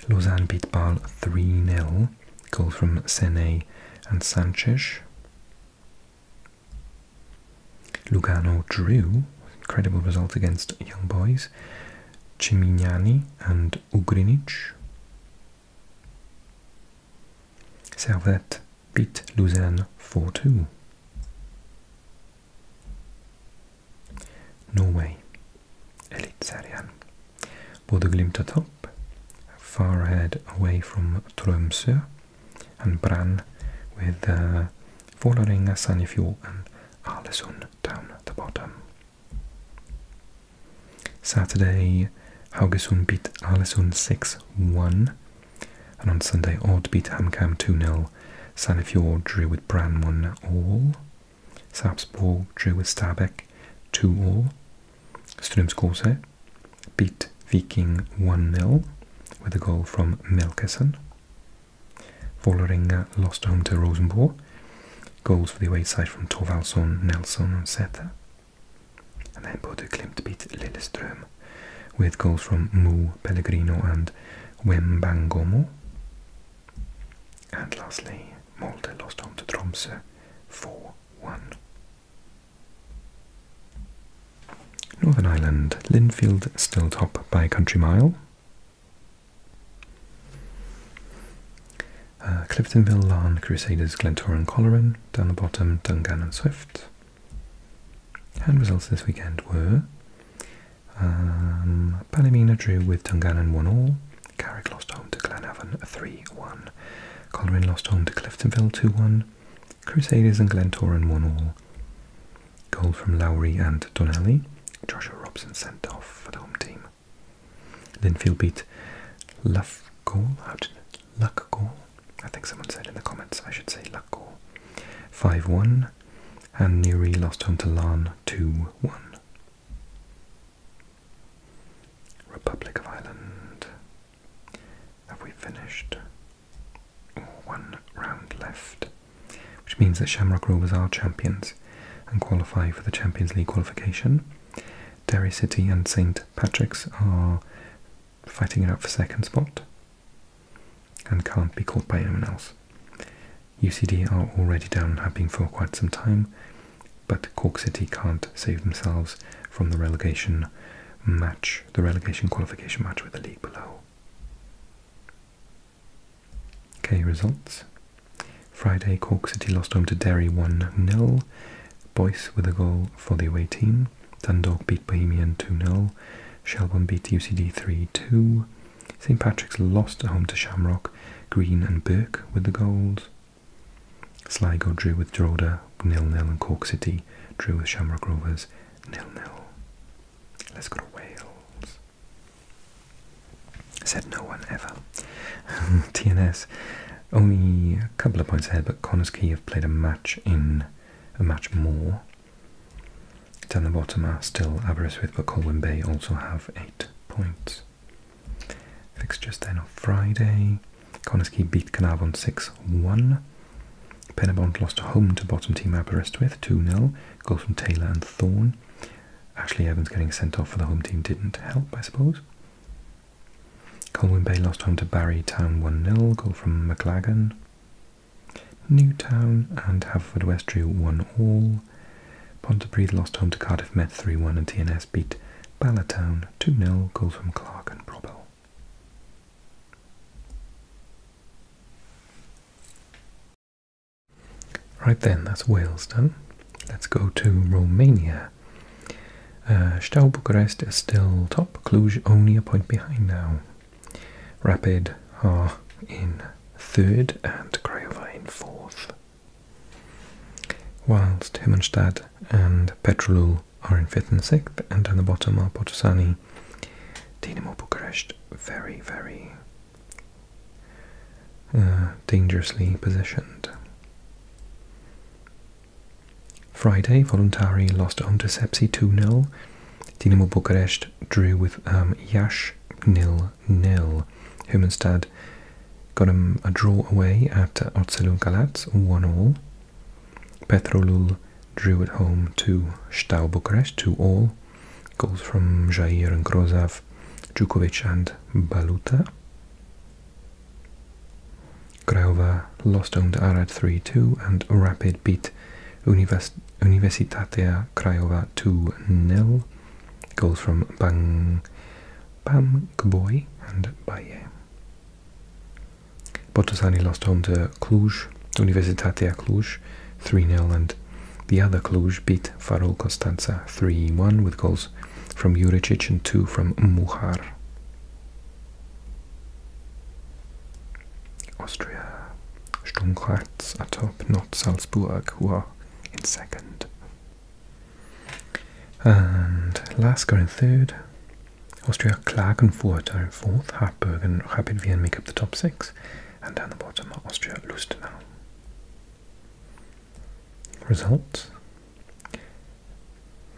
Lausanne beat Ball 3 3-0. Goal from Sene and Sanchez. Lugano drew, incredible result against Young Boys, Cimignani and Ugrinic. Servet beat Lausanne 4-2. Norway, Elitserien. Bodeglimt top, far ahead away from Tromsø, and Brann with uh, Following a sunny fjord and Arlesund down at the bottom. Saturday, Haugesund beat Arlesund 6-1. And on Sunday, Odd beat HamKam 2-0. fjord drew with Brann 1-all. Sarpsborg drew with Stabæk 2-all. Strømsgodset beat Viking 1-0 with a goal from Melkesson. Vålerenga uh, lost home to Rosenborg. Goals for the away side from Torvaldsson, Nelson and Seta. And then Bodø Klimt beat Lillestrøm with goals from Mu, Pellegrino and Wembangomo. And lastly, Molde lost home to Tromsø 4-1. Northern Ireland, Linfield still top by country mile. Uh, Cliftonville, Larne, Crusaders, Glentoran, Coleran down the bottom, Dungan and Swift. And results this weekend were um, Palomina drew with Dungannon 1 all. Carrick lost home to Glenavon 3 1. Coleran lost home to Cliftonville 2 1. Crusaders and Glentoran 1 all. Goal from Lowry and Donnelly. Joshua Robson sent off for the home team. Then Linfield beat Lufgall. How did Luckgall? I think someone said in the comments. I should say Luckgall. Five one, and Newry lost home to Larn two one. Republic of Ireland. Have we finished? one round left, which means that Shamrock Rovers are champions and qualify for the Champions League qualification. Derry City and St Patrick's are fighting it out for second spot and can't be caught by anyone else. UCD are already down and have for quite some time, but Cork City can't save themselves from the relegation match, the relegation qualification match with the league below. Okay, results. Friday, Cork City lost home to Derry 1-0. Boyce with a goal for the away team. Dundalk beat Bohemian 2-0. Shelburne beat UCD 3-2. St Patrick's lost home to Shamrock. Green and Burke with the goals. Sligo drew with Droda nil nil, and Cork City drew with Shamrock Rovers nil nil. Let's go to Wales. Said no one ever. TNS [LAUGHS] only a couple of points ahead, but Connors Key have played a match in a match more. Down the bottom are still Aberystwyth, but Colwyn Bay also have eight points. Fixtures then on Friday. Connors Key beat Carnarvon 6 1. Pennebont lost home to bottom team Aberystwyth 2 0. Goals from Taylor and Thorn. Ashley Evans getting sent off for the home team didn't help, I suppose. Colwyn Bay lost home to Barry Town 1-0, goal from McLagan. Newtown and Haverfordwest drew 1-all. Pontypridd lost home to Cardiff Met 3-1 and TNS beat Ballatown 2-0, goals from Clark and Probel. Right then, that's Wales done. Let's go to Romania. Uh, Steaua Bucharest is still top, Cluj only a point behind now. Rapid are in third and Craiova in fourth. Whilst Himmelstadt and Petrolul are in fifth and sixth, and on the bottom are Potosani, Dinamo Bucharest, very, very uh, dangerously positioned. Friday, Voluntari lost home to Sepsi 2 nil, Dinamo Bucharest drew with um, Yash nil, 0 Humanstad got a draw away at Oțelul Galați 1-0. Petrolul drew at home to Stau Bucharest 2-all. Goals from Jair and Grozov, Djukovic and Baluta. Craiova lost home to Arad 3-2 and Rapid beat Universitatea Craiova 2-0. Goals from Bang Bam Gboy and Baye. Botasani lost home to Cluj Universitatea Cluj 3-0 and the other Cluj beat Farol Constanza 3-1 with goals from Juricic and two from Muhar. Austria. Sturm Graz are top, not Salzburg, who are in second. And Lasker in third. Austria, Klagenfurt are in fourth. Hartberg and Rapid Wien make up the top six and down the bottom are Austria Lustenau. Results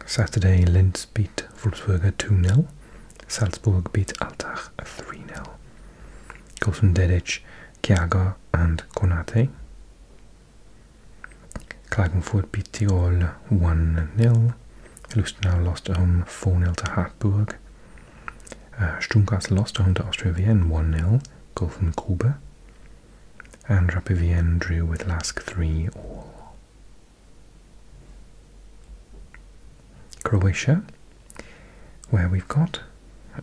Saturday Linz beat Wolfsburger 2 0, Salzburg beat Altach 3 nil Goals from Dedic, and Konate. Klagenfurt beat Tirol 1 nil Lustenau lost at home 4 nil to Hartburg. Uh, äh, Stuttgart lost home to Austria Vienna 1 nil, goal from Gruber. And Rapid drew with Lask 3 all. Croatia, where we've got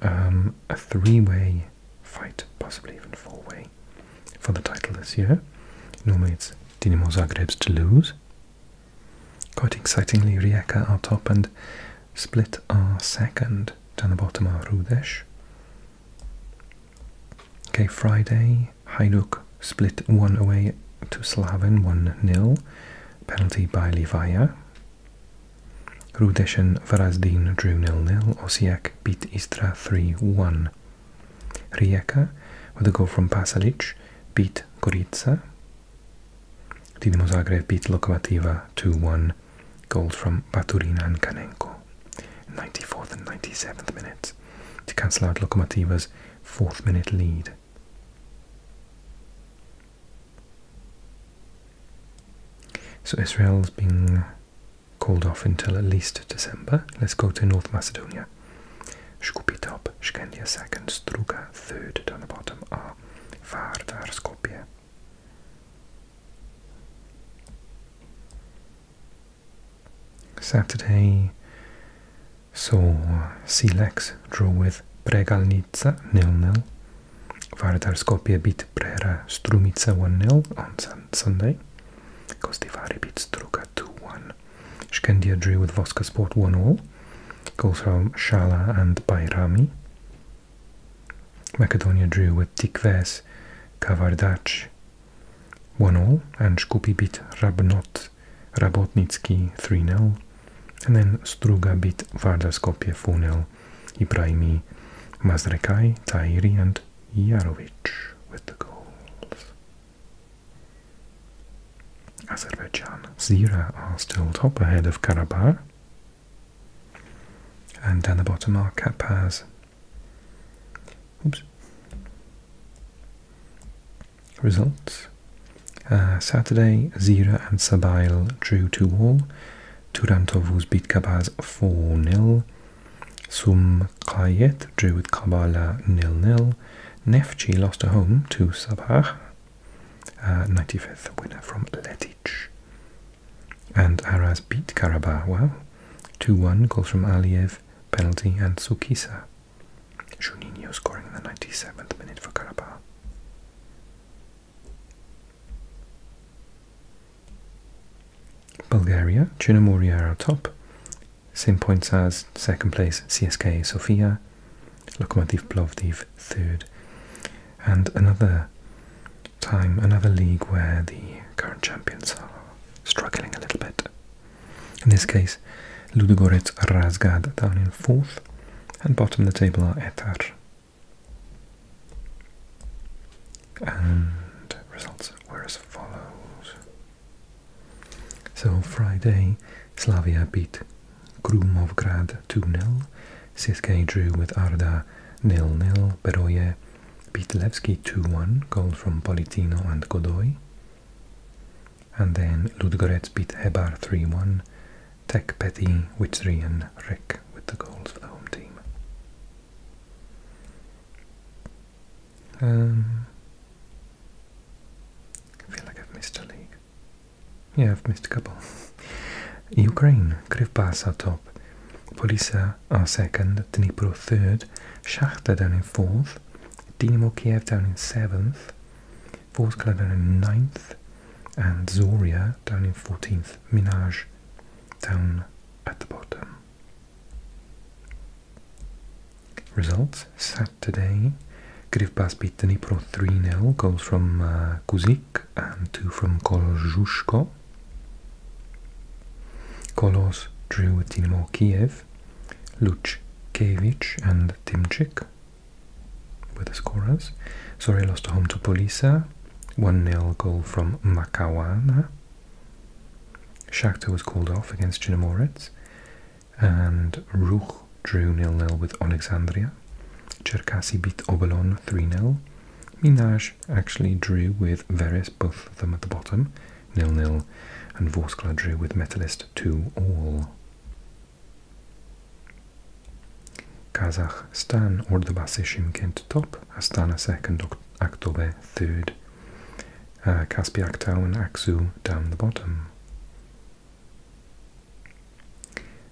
um, a three way fight, possibly even four way, for the title this year. Normally it's Dinamo to lose. Quite excitingly, Rijeka are top and Split our second. Down the bottom are Rudesh. Okay, Friday, Hajduk split one away to Slaven 1-0. Penalty by Livaya. Rudesh and Varazdin drew nil nil. Osijek beat Istra 3-1. Rijeka, with a goal from Pasalic, beat Gorica Dinamo Zagreb beat Lokomotiva 2-1, goals from Baturina and Kanenko, 94th and 97th minutes, to cancel out Lokomotiva's fourth-minute lead. So Israel's being called off until at least December. Let's go to North Macedonia. Shkupi top, Shkendia second, Struga third, down the bottom are ah, Varberg, Skopje. Saturday so Silex drew with Pregalnica 0-0. Vardar Skopje beat Prera Strumica 1-0 on sun Sunday. Kostivari beat Struga 2-1. Shkendia drew with Voska Sport 1-0. Goals from Shala and Bayrami. Macedonia drew with Tikves Kavardac 1-0 and Skupi bit Rabnot Rabotnitski 3-0 and then Struga bit Vardar Skopje 4-0 Ibrahimi Mazrekai, Tairi and Yarovic with the goals. Azerbaijan Zira are still top ahead of Karabakh and down the bottom are Kapaz. Oops. Results. Uh, Saturday, Zira and Sabail drew 2 all. Turantovuz beat Kabaz 4 nil. Sum Kayaet drew with Kabala nil nil. Neftchi lost at home to Sabah 95th uh, winner from Letic. And Aras beat Karabakh, wow, 2-1, goals from Aliev, penalty and Tsukisa. Juninho scoring in the 97th minute for Karabakh. Bulgaria, Chinamoria are top, same points as second place CSK Sofia, Lokomotiv Plovdiv third. And another time, another league where the current champions are struggling a little bit. In this case, Ludogorets Razgrad down in fourth, and bottom of the table are Etar. And results were as follows. So Friday, Slavia beat Krumovgrad 2-0, CSK drew with Arda nil nil Peroye, beat 2-1, goals from Politino and Godoy. And then Ludogorets beat Hebar 3-1, Tech Petty, Witzri and Rek with the goals for the home team. Um, I feel like I've missed a league. Yeah, I've missed a couple. Ukraine, Krivbasa top. Polisa are second, Dnipro third, Shchata down in fourth, Dynamo Kiev down in seventh, Vorskla down in ninth, and Zoria down in fourteenth, Minaj down at the bottom. Results Saturday, Grivbas Pitnipro 3-0 goals from uh, Kuzik and two from Kolozhushko. Kolos drew with Dynamo Kiev, Luch Luchkevich and Timchik were the scorers. Sorry, I lost home to Polisa, 1-0 goal from Makawana. Shakhtar was called off against Chinamoretz and Ruch drew nil-nil with Alexandria. Cherkasy beat Obolon 3 0. Minaj actually drew with Veres, both of them at the bottom, nil nil, and Vorskla with Metalist 2 all. Kazakhstan, Ordubasi Shymkent top, Astana second, Aktobe third, uh, Kaspiak Town, Aksu down the bottom.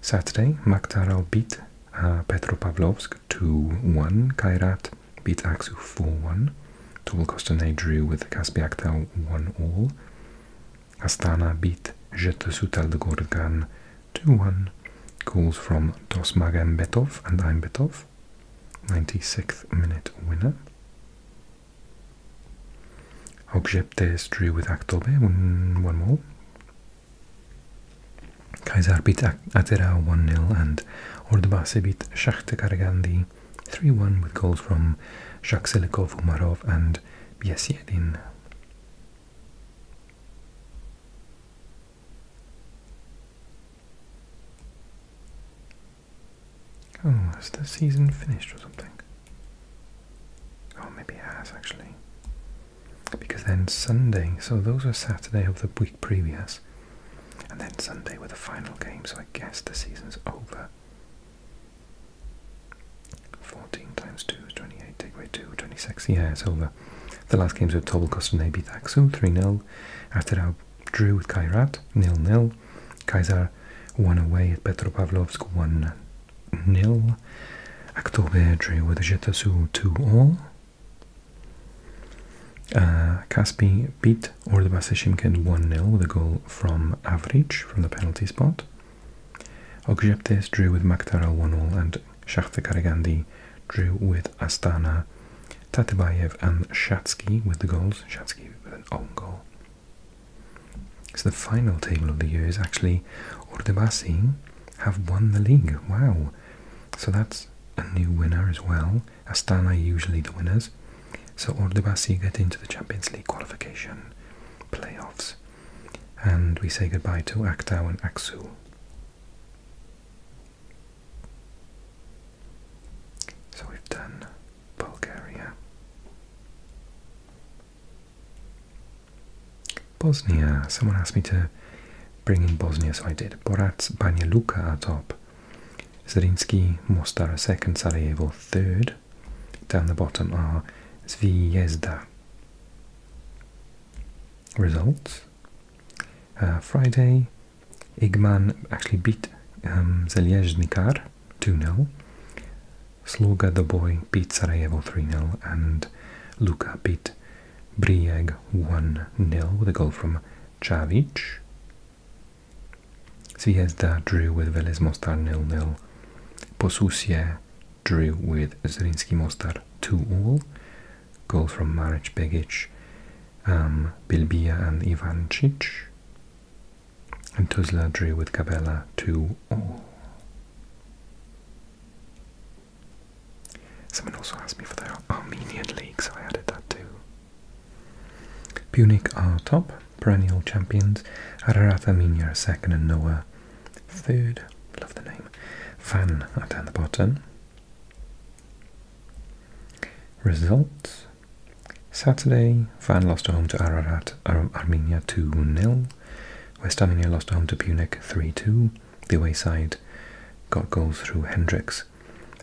Saturday, Maktaral beat uh, Petropavlovsk 2-1. Kairat beat Aksu 4-1. Tobel drew with Kaspiaktau 1-all. Astana beat Jetsutalgorgan 2-1. Goals from Dosmagambetov and Aimbetov. 96th minute winner. Hogseptes drew with Aktobe, 1-1. Kaysar beat Atera 1-0 and Ordubasi beat Shakhtar Karagandi 3-1 with goals from Shaksilikov, Umarov and Biesiedin. Oh, has the season finished or something? Oh, maybe it has actually because then Sunday, so those were Saturday of the week previous, and then Sunday were the final games. so I guess the season's over. 14 times 2 is 28, take away 2, 26, yeah, it's over. The last games were Tobel Kostanay beat Aksum 3-0, after that drew with Kairat nil nil, Kaiser won away at Petropavlovsk 1 nil. Aktobergy with a 2 0 uh, Kaspi beat Ordubasi Shimkent 1-0 with a goal from Avric from the penalty spot. Okjeptes drew with Maktaral 1-0 and Shakhtar Karagandi drew with Astana. Tatebayev and Shatsky with the goals. Shatsky with an own goal. So the final table of the year is actually Ordubasi have won the league. Wow. So that's a new winner as well. Astana are usually the winners. So Ordubasi get into the Champions League qualification playoffs. And we say goodbye to Aktau and Aksu. So we've done Bulgaria. Bosnia. Someone asked me to bring in Bosnia, so I did. Borac, Banja Luka are top. Zrinski, Mostar second, Sarajevo third. Down the bottom are Zvezda. Results. Uh, Friday, Igman actually beat um, 2-0. Sloga the boy beat Sarajevo 3-0 and Luka beat Brieg 1-0 with a goal from Čavić. Zvezda drew with Velez Mostar 0-0. Posusie drew with Zrinski Mostar 2-all. Goal from Maric Begic, um, Bilbia and Ivancic. And Tuzla drew with Kabela 2-all. Someone also asked me for the Armenian League, so I added that too. Punic are top, perennial champions. Ararat Armenia are second, and Noah third. Love the name. Van are down the bottom. Results Saturday, Van lost home to Ararat, Armenia 2 0. West Armenia lost home to Punic 3 2 the wayside, side got goals through Hendricks,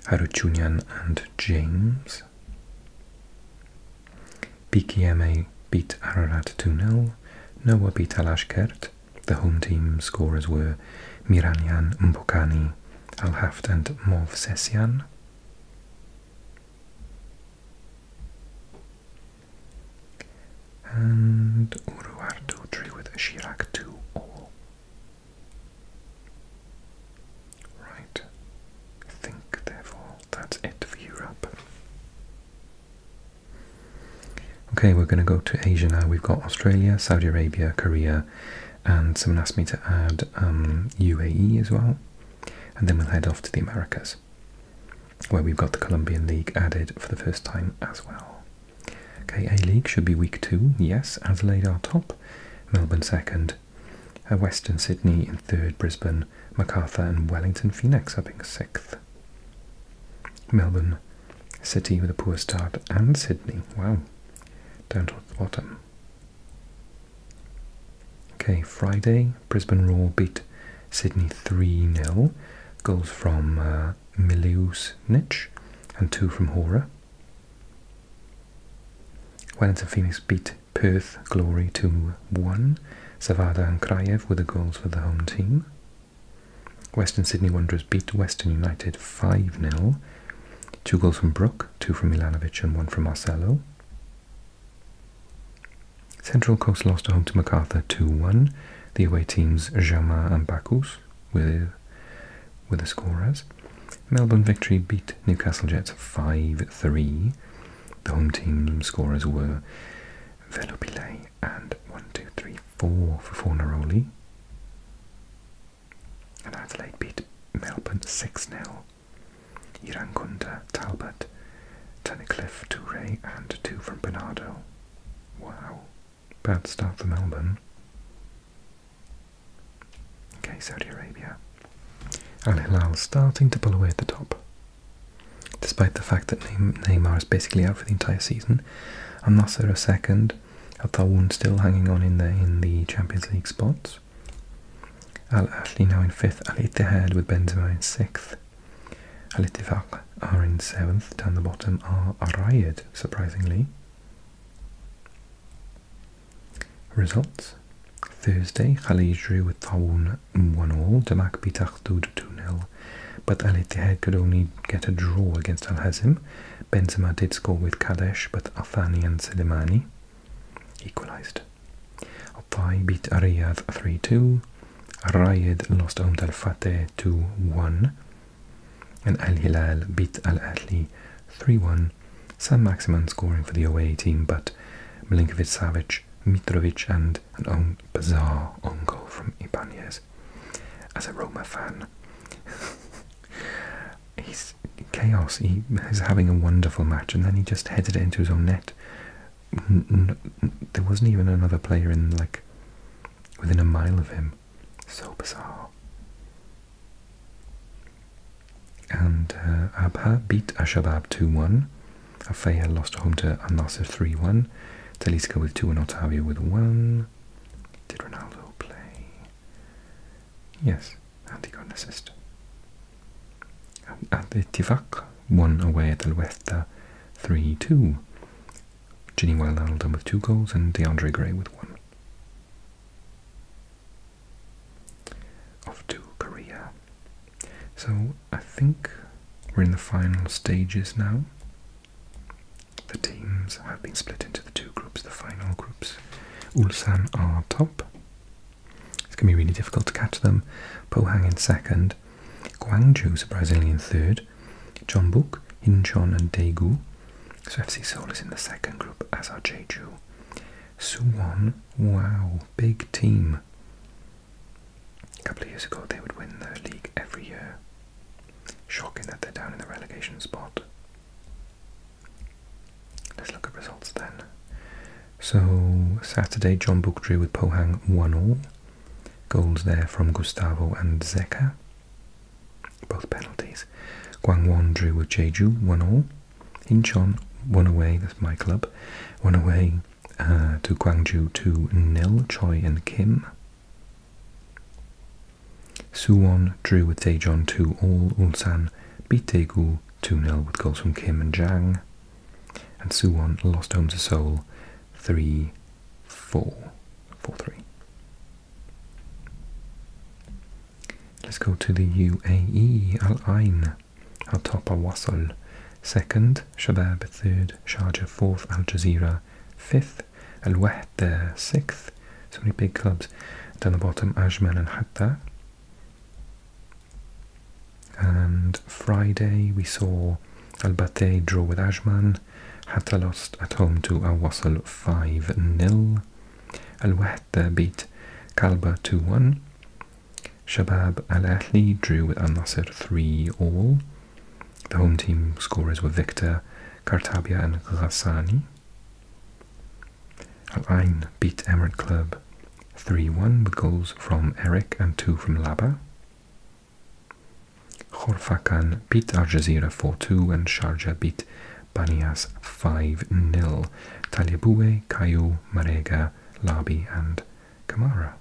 Haruchunyan and James. BKMA beat Ararat 2-0, Noah beat Alashkert. The home team scorers were Miranyan Mbukani, Alhaft and Mov Sesyan. And Uruar 2-3 with Shirak 2 all. Right. I think therefore that's it for Europe. Okay, we're going to go to Asia now. We've got Australia, Saudi Arabia, Korea, and someone asked me to add UAE um, as well. And then we'll head off to the Americas where we've got the Colombian League added for the first time as well. Okay, A League should be week two, yes. Adelaide are top, Melbourne second, uh, Western Sydney in third, Brisbane, Macarthur and Wellington Phoenix up in sixth. Melbourne City with a poor start and Sydney, wow, down towards the bottom. Okay, Friday, Brisbane Raw beat Sydney 3 0. Goals from uh, Miliusnich and two from Hora. Wellington Phoenix beat Perth Glory 2 1. Savada and Krayev were the goals for the home team. Western Sydney Wanderers beat Western United 5 0. Two goals from Brook, two from Milanovic, and one from Marcelo. Central Coast lost at home to MacArthur 2 1. The away teams Jauma and Bacchus with with a score Melbourne Victory beat Newcastle Jets 5-3. The home team scorers were Velopile and one 2 3 for Fornaroli. Adelaide beat Melbourne 6-0. Irankunda, Talbot, Tunnicliffe, Toure and two from Bernardo. Wow. Bad start for Melbourne. Okay, Saudi Arabia. Al Hilal starting to pull away at the top. Despite the fact that Neymar is basically out for the entire season, and Nasser a second, Al Tawun still hanging on in the in the Champions League spots. Al Ashli now in fifth, Al Ittihad with Benzema in sixth, Al Ittifaq are in 7th, down the bottom are Arayed, surprisingly. Results Thursday, Khalid drew with Tawun 1 all, Damak beat Akhdud 2 0, but Al Ittihad could only get a draw against Al Hazm. Benzema did score with Kadesh, but Afani and Selimani equalised. Opthai beat Riyadh 3 2, Rayed lost home to Al 2 1. And Al Hilal beat Al Ahly 3 1, Sam Maximan scoring for the away team, but Milinkovic Savic, Mitrovic, and an own bizarre own goal from Ibanez. As a Roma fan, [LAUGHS] he's chaos. He is having a wonderful match, and then he just headed it into his own net. there wasn't even another player in like within a mile of him. So bizarre. And uh, Abha beat Ashabab 2-1. Afea lost home to Al Nasser 3-1. Talisca with 2 and Otavio with 1. Did Ronaldo play? Yes, and he got an assist. Al-Ittifaq won away at Al-Westa 3-2. Ginny Wild Hamilton with two goals and DeAndre Gray with one. Off to Korea. So I think we're in the final stages now. The teams have been split into the two groups, the final groups. Ulsan are top. It's going to be really difficult to catch them. Po Hang in second. Guangzhou's Brazilian third, Chonbuk, Incheon and Daegu. So FC Seoul is in the second group, as are Jeju. Suwon, wow, big team. A couple of years ago they would win the league every year. Shocking that they're down in the relegation spot. Let's look at results then. So Saturday, John drew with Pohang 1 all. Goals there from Gustavo and Zeka both penalties. Guangwon drew with Jeju, one all. Incheon won away, that's my club, won away uh, to Gwangju 2 nil. Choi and Kim. Suwon drew with Daejeon 2 all. Ulsan beat Daegu 2 0 with goals from Kim and Jang. And Suwon lost home to Seoul 3 four, four, three. Let's go to the UAE, Al Ain, Al Top Al second, Shabab third, Sharjah fourth, Al Jazeera fifth, Al Wahda sixth, so many big clubs. Down the bottom, Ajman and Hatta. And Friday we saw Al Batay draw with Ajman, 1, Hatta lost at home to Al 5 0. Al Wahda beat Kalba 2 1. Shabab Al Ahli drew with Al Nasser 3 all. The home team scorers were Victor, Kartabia, and Ghassani. Al Ain beat Emirates Club 3 1 with goals from Eric and 2 from Laba. Khorfakkan beat Al Jazeera 4-2 and Sharjah beat Banias 5-0. Talibue, Kayu, Marega, Labi and Kamara.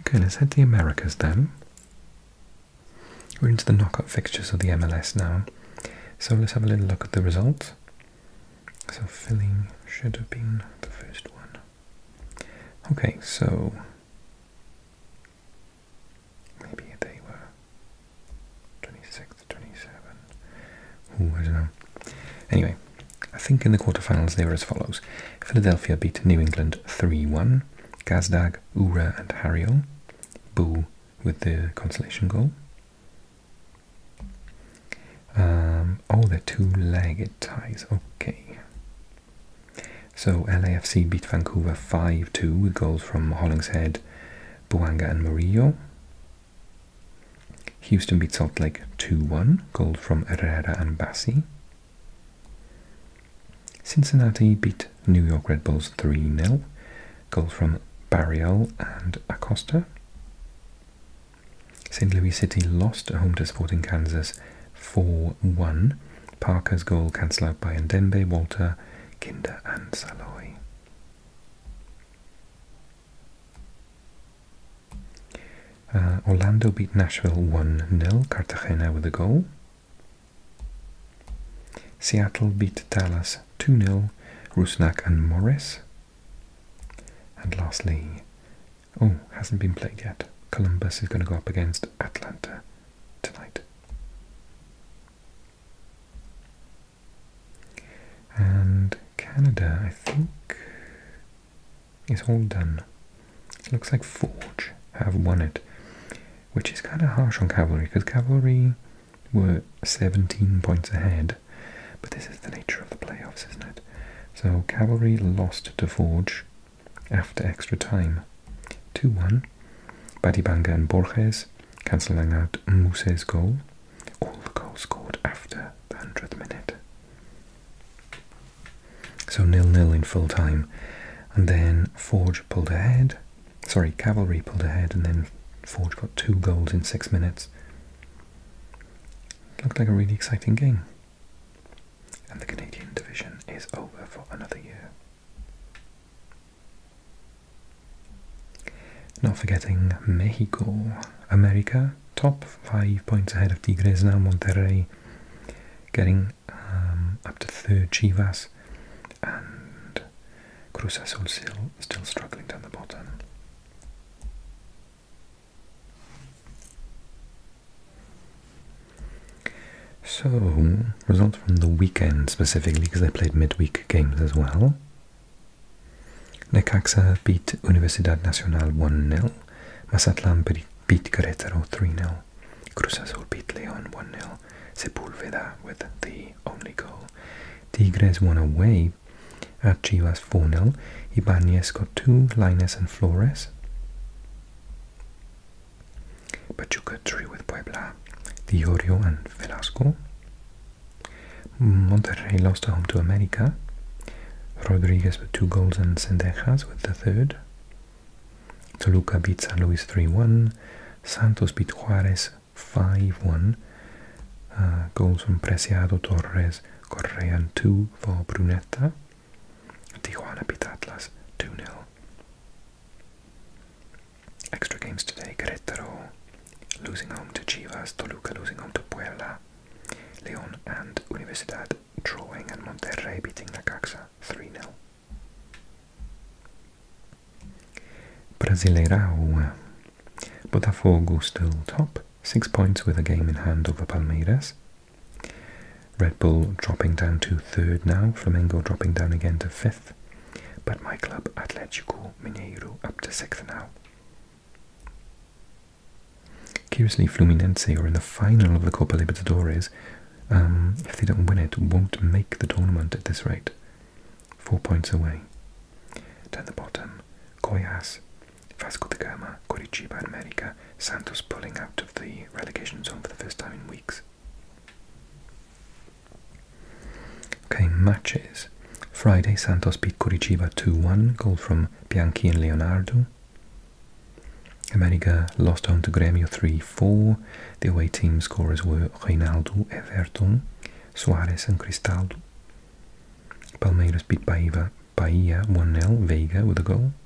Okay, let's head to Americas then. We're into the knockout fixtures of the MLS now. So let's have a little look at the results. So filling should have been the first one. Okay, so maybe they were 26, 27. I don't know. Anyway, I think in the quarterfinals they were as follows. Philadelphia beat New England 3-1. Gazdag, Ura and Harriel. Boo with the consolation goal. Um, oh, they're two-legged ties. Okay. So LAFC beat Vancouver 5-2 with goals from Hollingshead, Buanga and Murillo. Houston beat Salt Lake 2-1, goals from Herrera and Bassi. Cincinnati beat New York Red Bulls 3-0, goals from Barrial and Acosta. St. Louis City lost at home to Sporting Kansas 4 1. Parker's goal cancelled out by Ndembe, Walter, Kinder, and Saloy. Uh, Orlando beat Nashville 1 0, Cartagena with a goal. Seattle beat Dallas 2 0, Rusnak and Morris. And lastly, Oh, hasn't been played yet. Columbus is going to go up against Atlanta tonight. And Canada, I think, is all done. looks like Forge have won it, which is kind of harsh on Cavalry, because Cavalry were 17 points ahead. But this is the nature of the playoffs, isn't it? So cavalry lost to Forge after extra time. 2-1. Badibanga and Borges cancelling out Muse's goal. All the goals scored after the 100th minute. So nil-nil in full time. And then Forge pulled ahead. Sorry, Cavalry pulled ahead and then Forge got two goals in six minutes. Looked like a really exciting game and the Canadian division is over for another year. Not forgetting Mexico, America, top five points ahead of Tigres now, Monterrey getting um, up to third, Chivas, and Cruz Azul still struggling down the bottom. So, results from the weekend specifically, because they played midweek games as well. Necaxa beat Universidad Nacional 1 0. Masatlán beat Querétaro 3 0. Cruz Azul beat León 1 0. Sepulveda with the only goal. Tigres won away at Chivas 4 nil. Ibanez got two, Linés and Flores. But you Pachuca drew with Puebla, Diorio and Velasco. Monterrey lost home to America. Rodriguez with two goals and Sendejas with the third. Toluca beats Luis 3-1. Santos beat Juarez 5-1. Uh, goals from Preciado, Torres, Correa and 2 for Brunetta. Tijuana beat Atlas 2 0. Extra games today Querétaro losing home to Chivas, Toluca losing home to Puebla, León and Universidad drawing, and Monterrey beating Necaxa 3 0. Brasileirão. Botafogo still top, 6 points with a game in hand over Palmeiras, Red Bull dropping down to third now, Flamengo dropping down again to fifth, but my club Atletico Mineiro up to sixth now. Curiously, Fluminense are in the final of the Copa Libertadores. Um, if they don't win it, won't make the tournament at this rate. Four points away. Down the bottom, Goyas Fascio de Gama, Coritiba America, Santos pulling out of the relegation zone for the first time in weeks. Okay, matches. Friday, Santos beat Curitiba 2-1, goal from Bianchi and Leonardo. America lost home to Grêmio 3-4. The away team scorers were Reinaldo, Everton, Suarez and Cristaldo. Palmeiras beat Bahia, Bahia 1-0, Vega with a goal.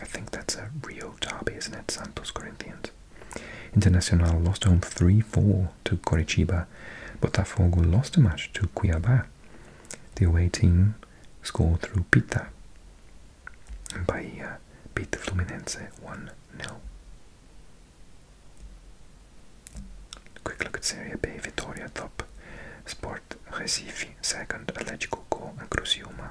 I think that's a Rio derby, isn't it? Santos Corinthians. Internacional lost home 3-4 to Coritiba. Botafogo lost a match to Cuiabá. The away team scored through Pita. And Bahia beat the Fluminense 1-0. Quick look at Serie B. Vitória top. Sport Recife second. Atlético Go and Criciúma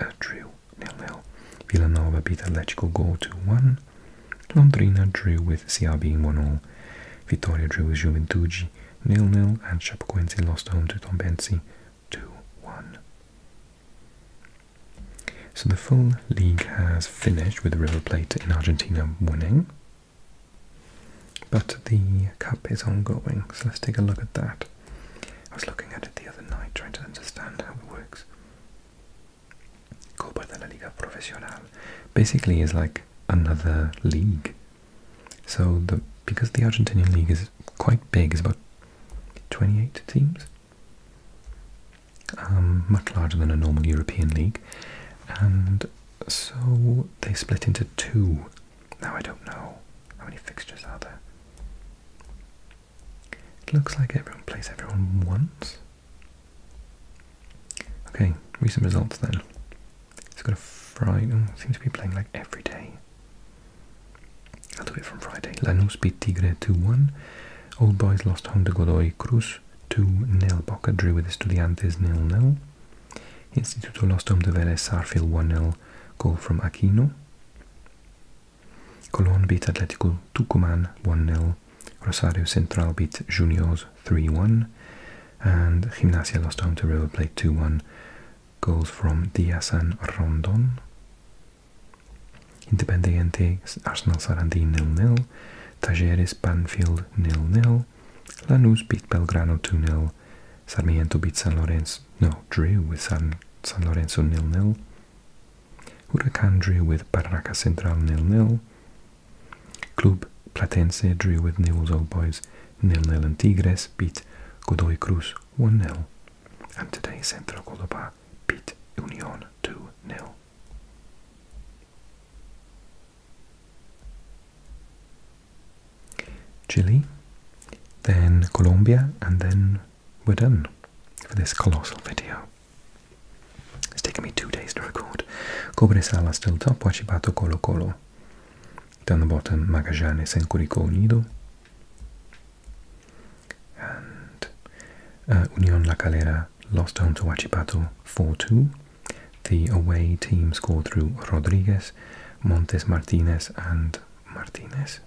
uh, nil nil. Villanova beat Atletico goal 2-1. Londrina drew with CRB 1-0. Vitória drew with Juventude nil nil, and Chapecoense lost home to Tombense 2-1. So the full league has finished with River Plate in Argentina winning. But the cup is ongoing, so let's take a look at that. I was looking at it the other night, trying to understand how it works. Copa de la Liga Profesional basically is like another league. So the because the Argentinian league is quite big, it's about 28 teams, um, much larger than a normal European league, and so they split into two now I don't know how many fixtures are there. It looks like everyone plays everyone once. Okay, recent results then. It's got a Friday. Oh, seems to be playing like every day. I'll do from Friday. Lanús beat Tigre 2-1. Old Boys lost home to Godoy Cruz 2-0. Boca drew with Estudiantes 0-0. Instituto lost home to Vélez Sarfield 1-0. Goal from Aquino. Colón beat Atlético Tucumán 1-0. Rosario Central beat Juniors 3-1. And Gimnasia lost home to River Plate 2-1. Goals from Diaz and Rondon. Independiente Arsenal sarandi nil nil-nil. Tajeres Banfield nil-nil. Lanús beat Belgrano 2-0. Sarmiento beat San Lorenzo, no, drew with San, San Lorenzo nil-nil. Huracan drew with Parraca Central nil-nil. Club Platense drew with Newell's Old Boys nil-nil and Tigres beat Godoy Cruz 1-0. And today Central Córdoba beat Union 2-0. Chile, then Colombia, and then we're done for this colossal video. It's taken me two days to record. Cobresal still top, Huachipato Colo Colo. Down the bottom, Magallanes and Curicó Unido. And uh, Unión La Calera lost home to Huachipato 4-2. The away team scored through Rodriguez, Montes Martinez and Martinez.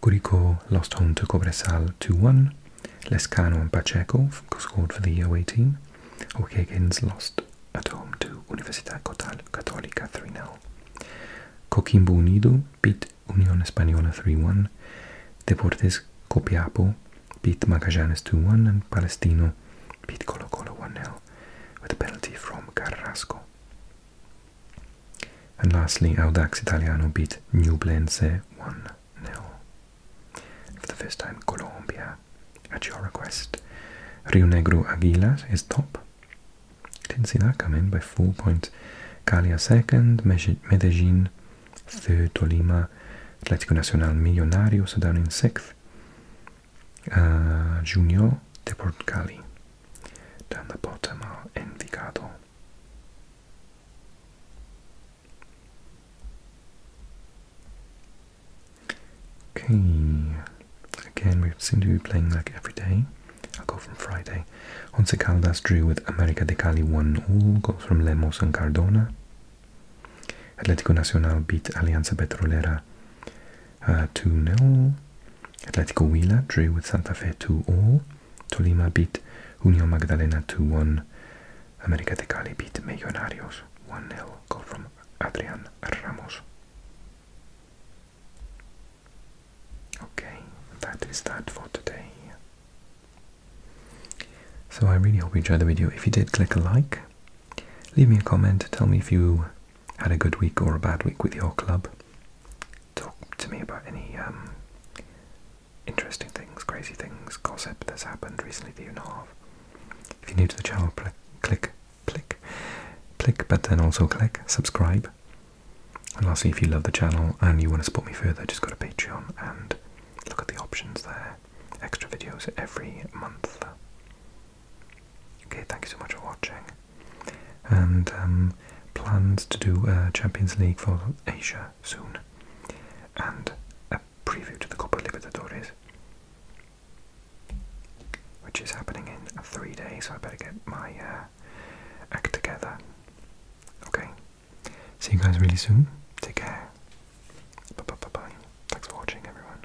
Curico lost home to Cobresal 2-1. Lescano and Pacheco scored for the away team. O'Higgins lost at home to Universidad Católica 3-0. Coquimbo Unido beat Unión Española 3-1. Deportes Copiapo beat Magallanes 2-1 and Palestino beat Colo Colo 1-0 with a penalty from Carrasco. And lastly, Audax Italiano beat Nublense 1 0. For the first time, Colombia, at your request. Rio Negro Aguilas is top. Didn't see that come in by four points. Calia second, Medellin third, Tolima, Atlético Nacional Millonarios are down in sixth. Junior de Portugali. Down the bottom are Envigado. Okay, again we seem to be playing like every day. I'll go from Friday. Once Caldas drew with America de Cali 1 all, goes from Lemos and Cardona. Atlético Nacional beat Alianza Petrolera uh, 2-0. Atletico Huila drew with Santa Fe 2-0. Tolima beat Union Magdalena 2-1. América de Cali beat Millonarios 1-0. Goal from Adrian Ramos. Okay, that is that for today. So I really hope you enjoyed the video. If you did, click a like. Leave me a comment, tell me if you had a good week or a bad week with your club. Talk to me about any um, interesting things, crazy things, gossip that's happened recently that you know of. If you're new to the channel, click, click, click, but then also click subscribe. And lastly, if you love the channel and you want to support me further, just go to Patreon and look at the options there. Extra videos every month. Okay, thank you so much for watching and um, plans to do a Champions League for Asia soon, and a preview to the Copa Libertadores, which is happening in three days. So I better get my uh, act together. Okay, see you guys really soon. Take care. Thanks for watching, everyone.